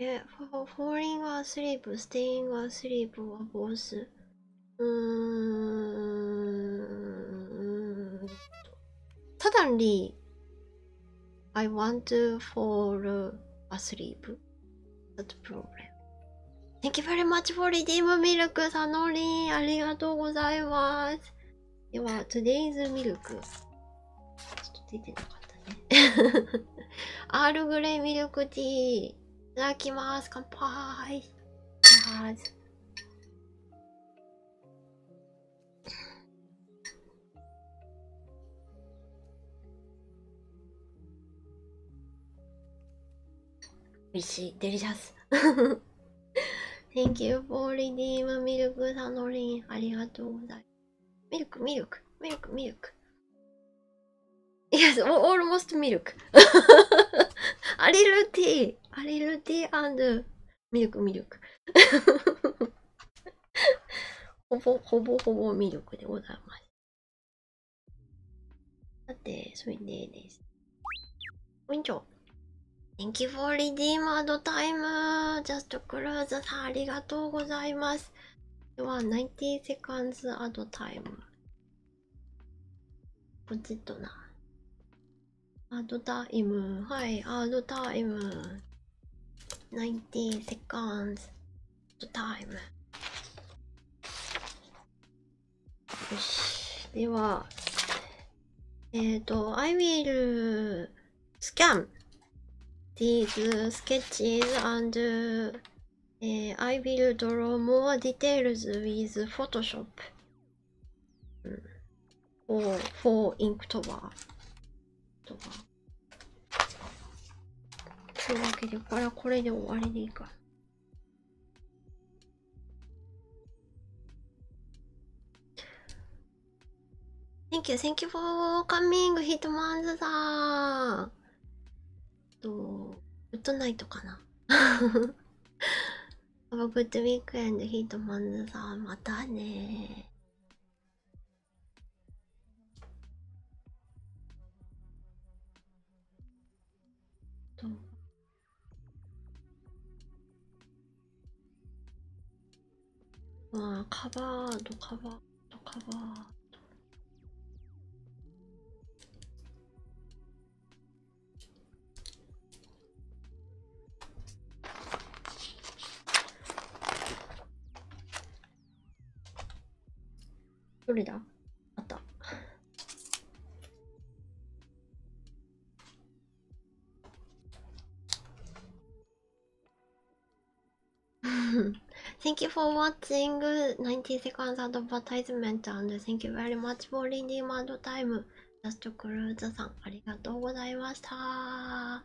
え、falling or asleep, staying or asleep or both? うーん。ただリー。I want to fall asleep. That's problem. Thank you very much for redeeming milk, Sanori. ありがとうございます。では、today's milk。ちょっと出てなかったね。アールグレイミルクティー。いただきます。乾杯。いただきます。美シしデリシャス。[laughs] Thank you for redeem milk, s a n o r ありがとうミルク、ミルク、ミルク、ミルク。Yes, almost アリルティー、アリルティー and ミルク、ミルク。[laughs] ほぼほぼほぼ魅力でございますさてそれでですこんにちは。Thank you for redeem time! Just c l o s e さありがとうございますでは90 seconds at time ポチッとなアドタイムはいアドタイム90 seconds to time よしではえっ、ー、と I will scan these sketches and、uh, I will draw more details with Photoshop for, for Inktober Inktober というわけでこれはこれで終わりでいいか。Thank you, thank you for coming, Hitman's さん。と、ウッドナイトかな。Have a good weekend, Hitman's さん。またねと。まあ、カバード、カバード、カバード。どれだあった。thank you for watching 90 seconds advertisement and thank you very much for reading my time. ジャストクルーズさん、ありがとうございました。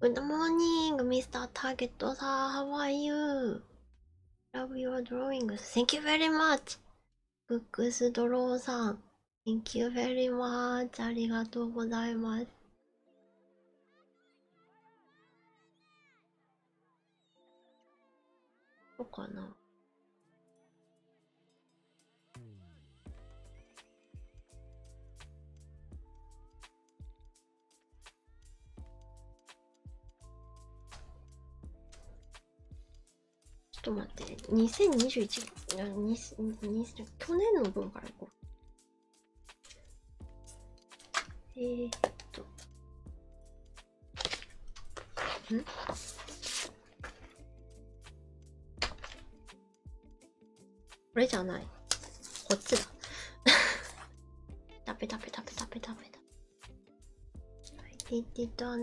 Good morning, Mr. Target. Sir, how are you? Love your drawings. Thank you very much. Books Draw さん。Thank you very much. ありがとうございます。どうかなちょっと待って2021あ20去年の分からいこうえー、っとこれじゃないこっちだ食べ食べ食べ食べ食べイティとア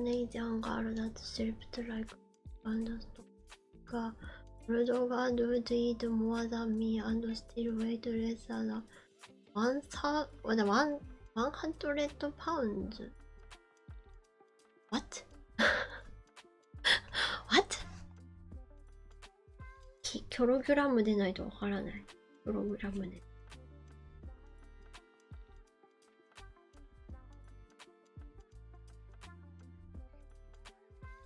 がワンサー、ワン、ワン、ワンハンドレッドパウンズ。?What? [laughs] What? キョログラムでないとわからない。ログラムで。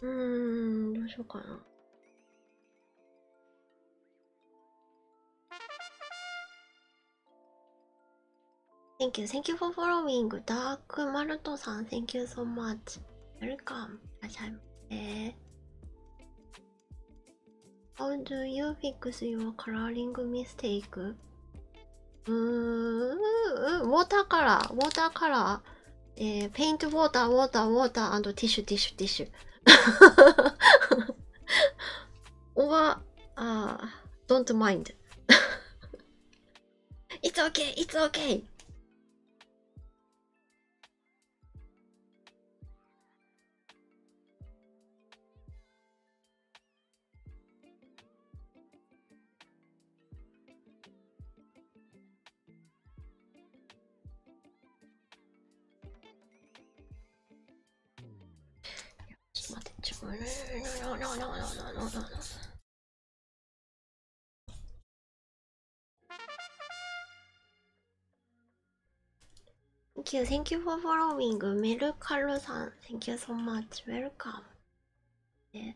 うん、どうしようかな。Thank you, thank you for following. ダークマルトさん、Thank you so much. Welcome. いらっしゃいませ。How do you fix your coloring mistake? うーん、ウォーターカラー、ウォーターカラー、えー、ペイントウォーター、ウォーター、ウォーター、ティッシュ、ティッシュ、ティッシュ。or, uh, don't mind. it's okay, it's okay. ちょっと待って、ちょっと待って。Thank you, thank you for following. Melkaru san, thank you so much. Welcome. え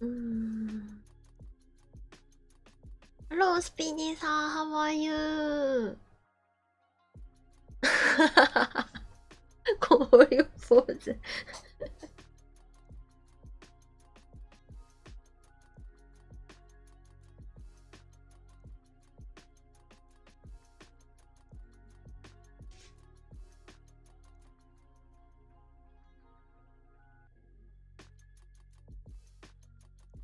うんロースピニーさん、ハワイユー [laughs] こういうポーズ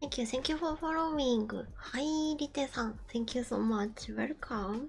Thank you, thank you for following. はい、リテさん、Thank you so much. Welcome.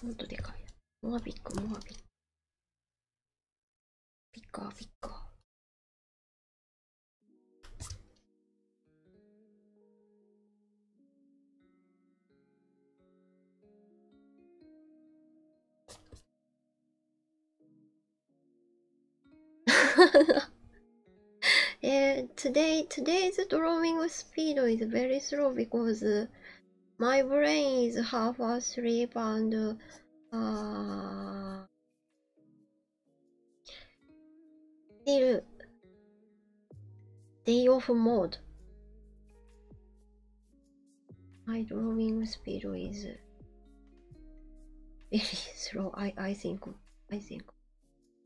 ほんとでかい。モアビック、モアビック。ピッカー、ピッカー。[laughs] [laughs] Eh, today today's drawing speed is very slow because my brain is half asleep and uh, still day off mode. My drawing speed is very [laughs] slow. I I think I think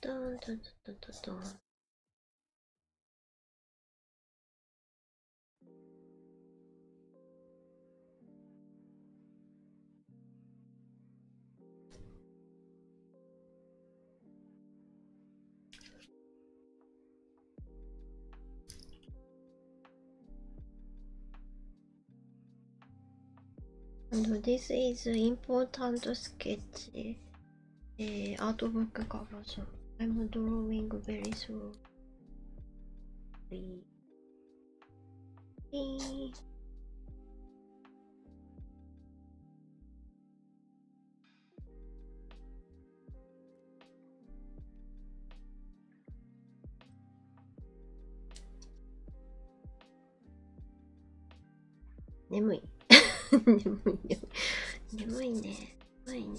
Dun, dun, dun, dun, dun, dun. And this is important sketch eh, artwork coverage. I'm drawing very slow. リリ眠い [laughs] 眠い眠い眠いね眠いね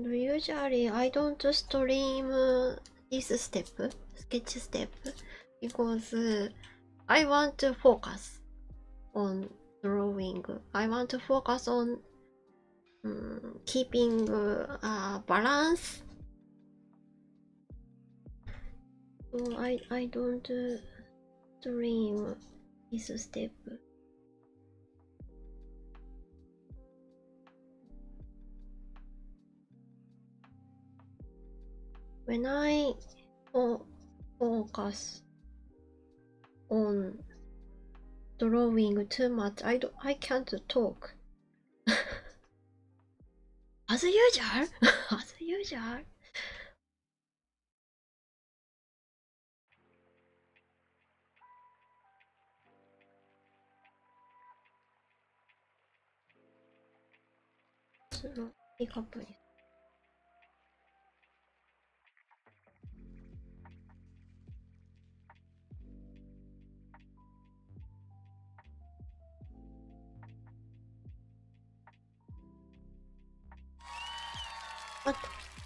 Usually, I don't stream this step, sketch step, because I want to focus on drawing. I want to focus on mm, keeping uh, balance. So I I don't uh, dream this step. When I focus on drawing too much. I don't. I can't talk. [laughs] As usual. [laughs] As usual.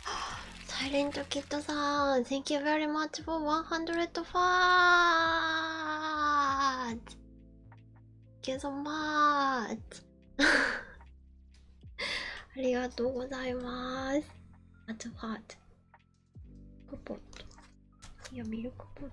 あサイレントキッドさん Thank you very much for o 0 0 fans! t h a n d you so m u c [laughs] ありがとうございます。あとハート。クポット。いや、ミルクポットと。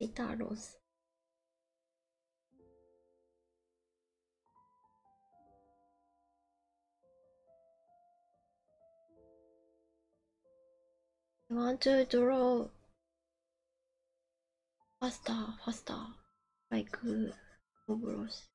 Retardos. [laughs] I want to draw faster, faster, like uh, overalls.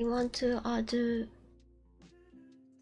I want to uh,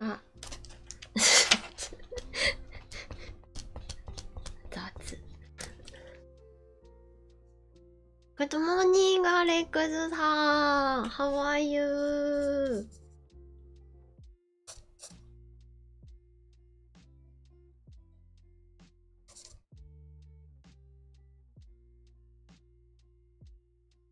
あ [laughs] 雑グッドモーニングアレックスさん How are you?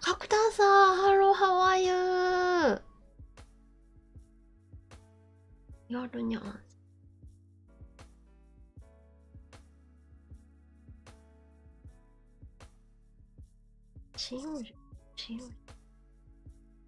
角田さん、ハロー、ハワイユー。やるにゃん。新用紙、新用紙。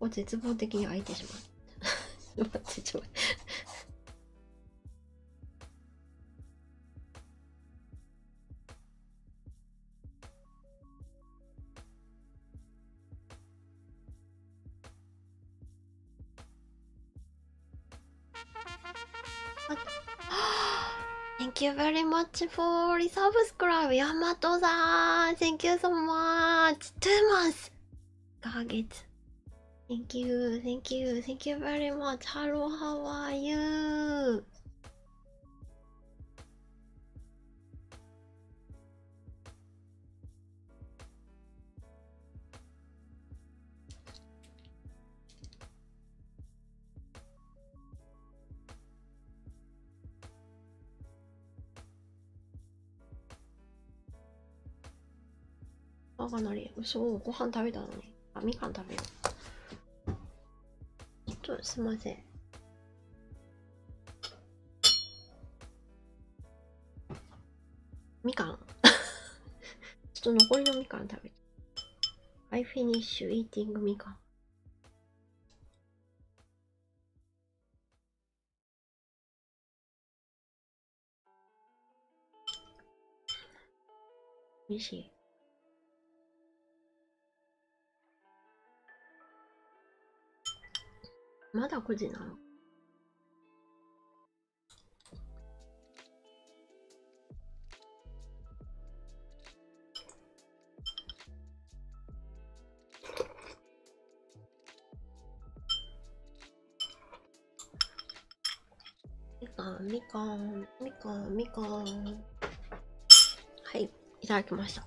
を絶望的に開いてしまう待ってちょっと待ってあ Thank you very much for resubscribe ヤマトさん Thank you so much 2 months Goggets. Thank you, thank you, thank you very much. Hello, how are you? あ、カなり、うそ、ご飯食べたのに。あ、みかん食べよう。ちょっと、すいません。みかん [laughs] ちょっと残りのみかん食べて。I finish e a ティングみかん。美味しい。まだ5時なのみかんみかんみかんみかんはいいただきました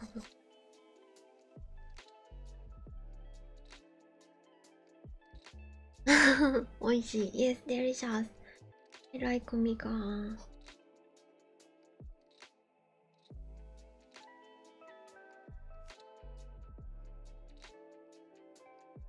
あのおいしい。Yes, delicious. I like m i g a n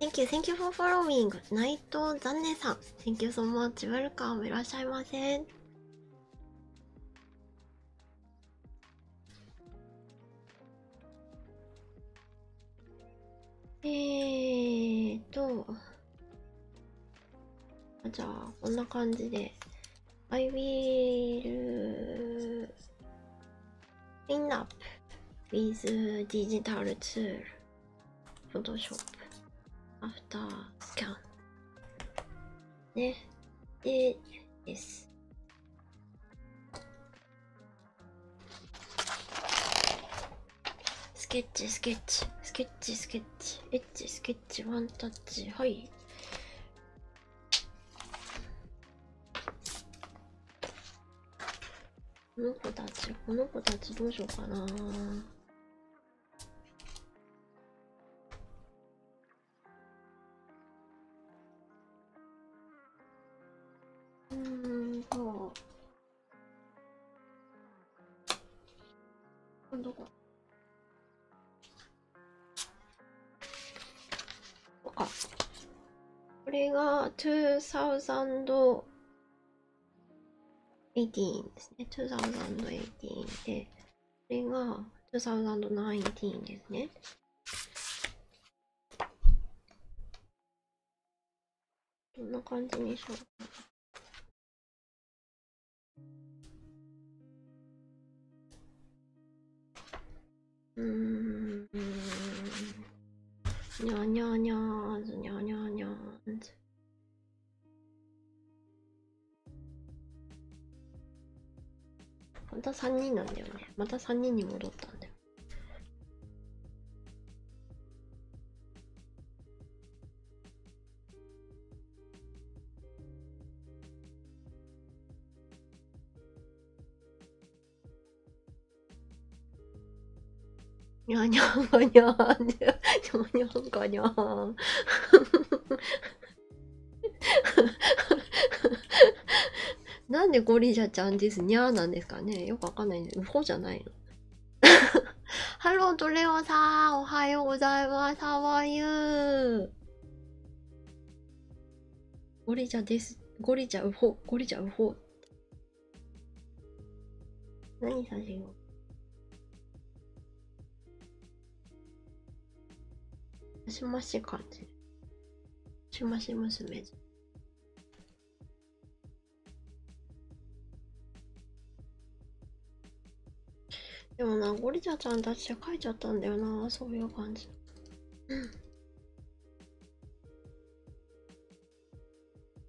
Thank you, thank you for following. 内藤残念さん。Thank you so much. Welcome. いらっしゃいませえっと。じゃあ、こんな感じで。I will clean up with digital tool. フォトショップ、アフタースキャン。ね。で、です。スケッチ、スケッチ、スケッチ、スケッチ、エッチ、スケッチ、ワンタッチ、はい。この子たちこの子たちどうしようかなうーんとどここれが2000 18ですね。2018で、これが2019ですね。どんな感じにしようかな。うーん。にゃにゃにゃーず、にゃにゃにゃーず。また3人なんだよねまた3人に戻ったんだよにゃにゃんがにゃーんにゃにゃんがにゃーんなんでゴリジャちゃんですにゃーなんですかねよくわかんないんで、うほじゃないのハローとレオさんおはようございます。How are you? ゴリジャです。ゴリジャウホ。ゴリジャウホ。何させようマシマシ感じ。マシマシ娘じでもな、ゴリラちゃんたちで書いちゃったんだよな、そういう感じ。うん。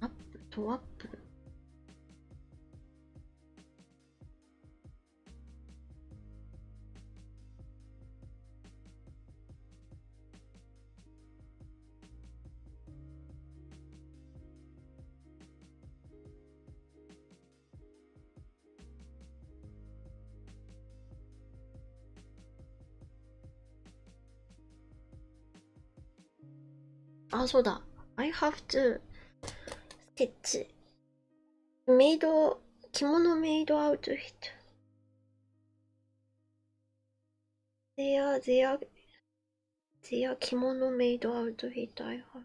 アップとアップあ、そうだ。I have to stitch made of 着物 made outfit. t h e y a r e t h e y a r e t h e y a r e 着物 made outfit I have.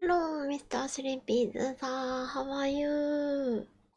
Hello, Mr. Sleepy さん、How are you?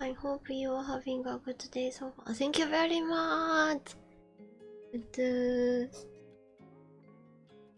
I hope you are having a good day so far. Thank you very much.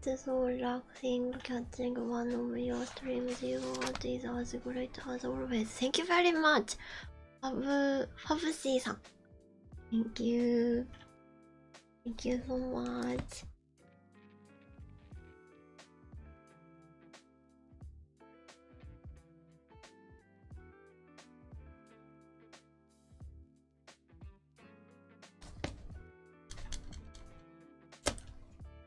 This whole luck thing, catching one of your streams, you watch is as great as always. Thank you very much, Fabu Fabusi san. Thank you. Thank you so much.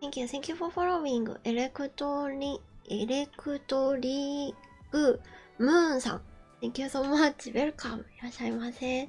Thank you, thank you for following Electori Electorig Moon さん Thank you so much, welcome いらっしゃいませ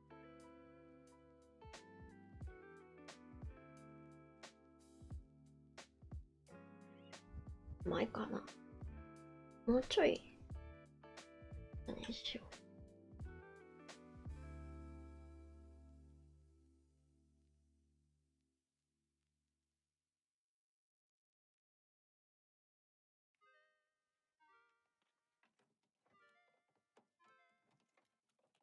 前かなもうちょい何しよう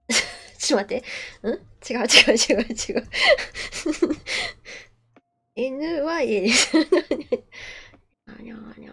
[laughs] ちょっと待って。うん違う違う違う違う NY あにゃあにゃにゃにゃ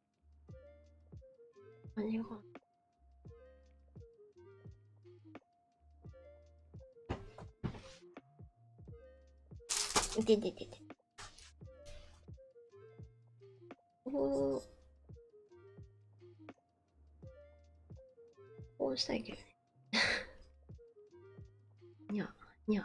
何がいてててて。おー。こうしたいけどね。にゃ、にゃ。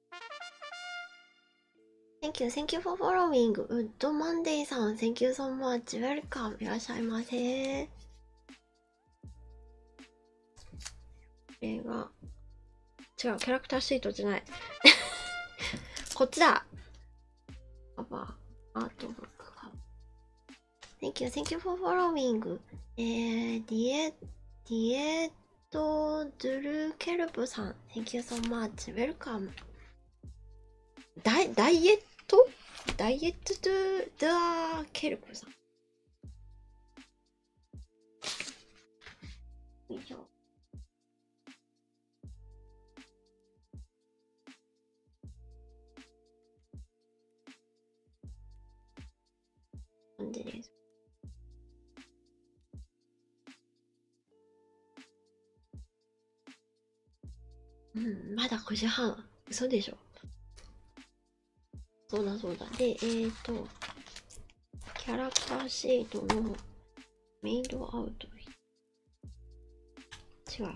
Thank you, thank you for following. Wood Monday さん、Thank you so much. Welcome. いらっしゃいませ。これ違う、キャラクターシートじゃない。こっちだ。カバー、アートブック。Thank you, thank you for following. えー、ディエ、ディエと、ドゥルーケルブさん、Thank you so much, welcome. ダイダイエットダイエットドゥドゥーケルブさん。以上。感じです。うん、まだ5時半。嘘でしょ。そうだそうだ。で、えっ、と、キャラクターシートのメイドアウト。違う。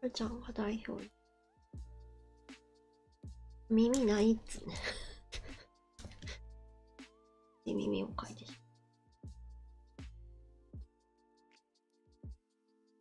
ふーちゃんが代表耳ないっつね [laughs] で耳をかいてしまう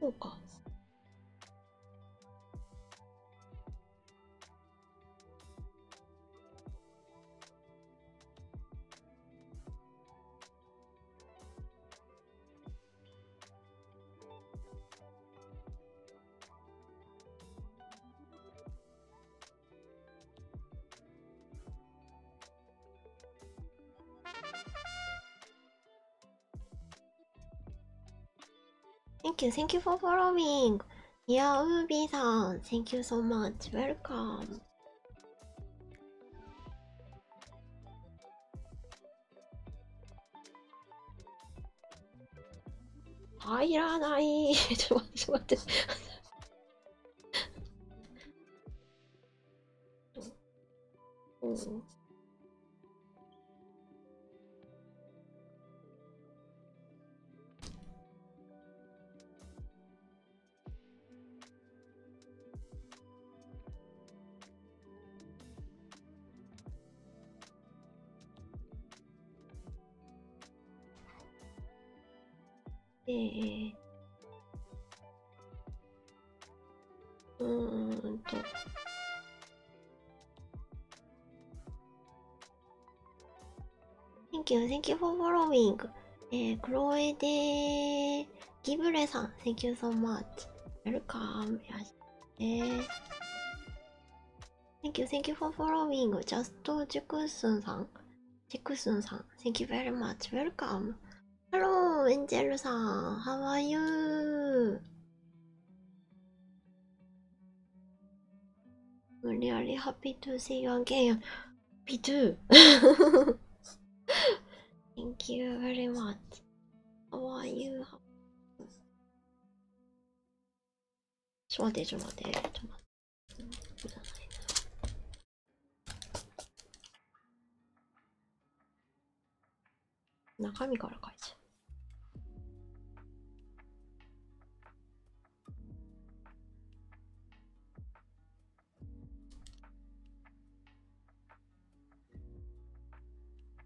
そうか。Thank you, thank you for following. Yeah, Ubi san, thank you so much. Welcome. 入らない [laughs] ちょっと待ってちょっと待ってうん、で、えー、うーんと。Thank you, thank you for following. えー、クロエデギブレさん、Thank you so much. Welcome. えー、Thank you, thank you for following. Just to Jikusun-san. Jikusun-san, thank you very much. Welcome. Hello, Angel-san. How are you? I'm really happy to see you again. Me too. [laughs] Thank you very much. How are you? ちょ待って、ちょ待って、ちょ待って。いないな。中身から書いちゃう。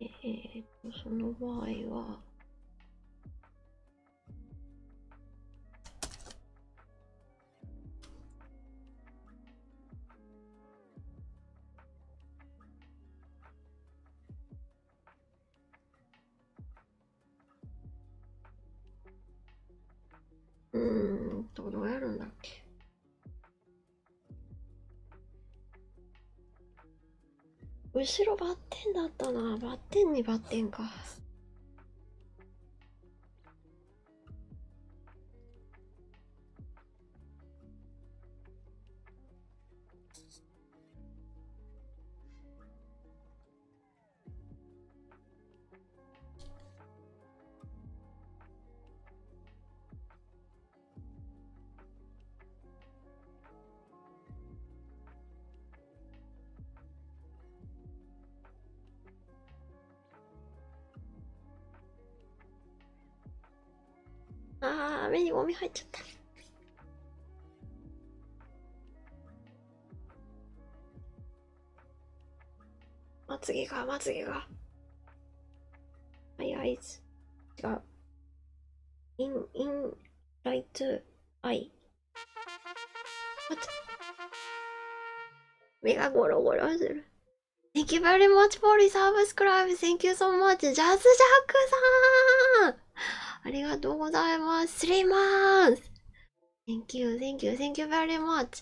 えっ、と、その場合は、うーんと、どうやるんだっけ後ろバッテンだったなバッテンにバッテンかあー、目にゴミ入っまつげが、まつげが。My eyes. 違う。in, in, right, eye. 待って。目がゴロゴロする。Thank you very much for the subscribe. Thank you so much. ジャズジャックさんありがとうございます。スリーマンス Thank you, thank you, thank you very much.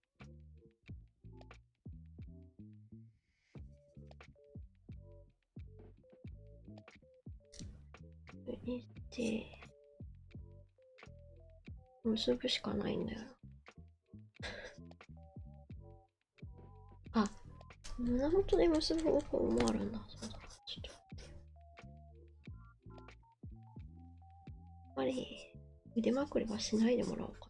で、結ぶしかないんだよ。あ、胸元で結ぶ方法もあるんだ。そうだ、ちょっと待ってよ。やっぱり、腕まくりはしないでもらおうか。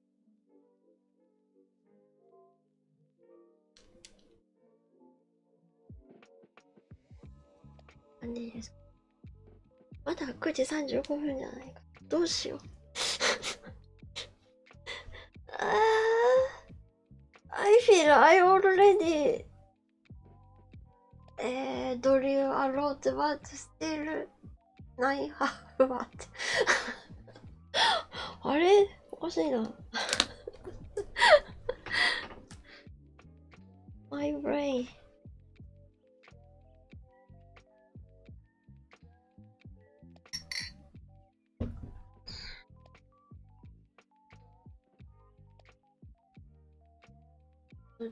何時ですかまだ9時35分じゃないかどうしよう [laughs] ああ I feel I already えー、ドリューアローズバーツスティールナインハーフバー [laughs] あれおかしいな m イブレイン。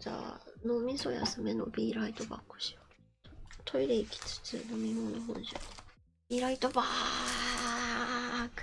じゃあ脳みそ休めのビーライトバックしようトイレ行きつつ飲み物本じゃリライトバーク。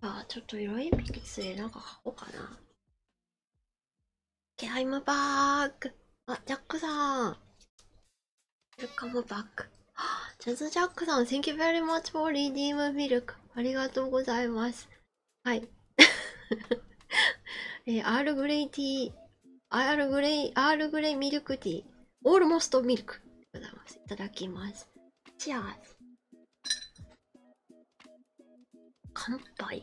ああ、ちょっと色い鉛筆でなんか買おうかな。ケアイムバーグあ、ジャックさん。ルカムバック。ジャズジャックさん、Thank you very much for redeem milk. ありがとうございます。はい。[laughs] えー、アールグレイティー、アールグレイ、アールグレイミルクティー。オールモストミルクでございます。いただきます。チアーズ。乾杯。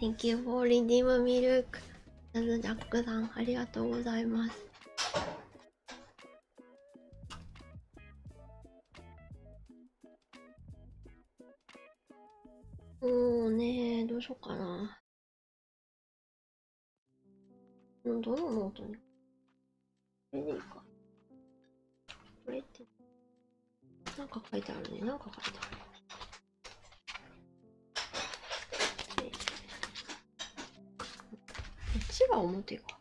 Thank you for redeem milk. ジャックさん、ありがとうございます。うん、ねどうしようかなどのノートにこれでいいかこれってなんか書いてあるねなんか書いてあるねこっちが表か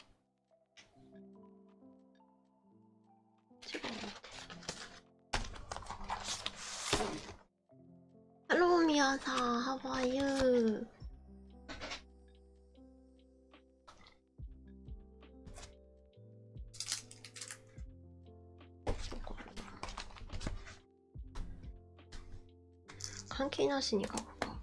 ハローミヤさん、ハワイユー。関係なしに書くか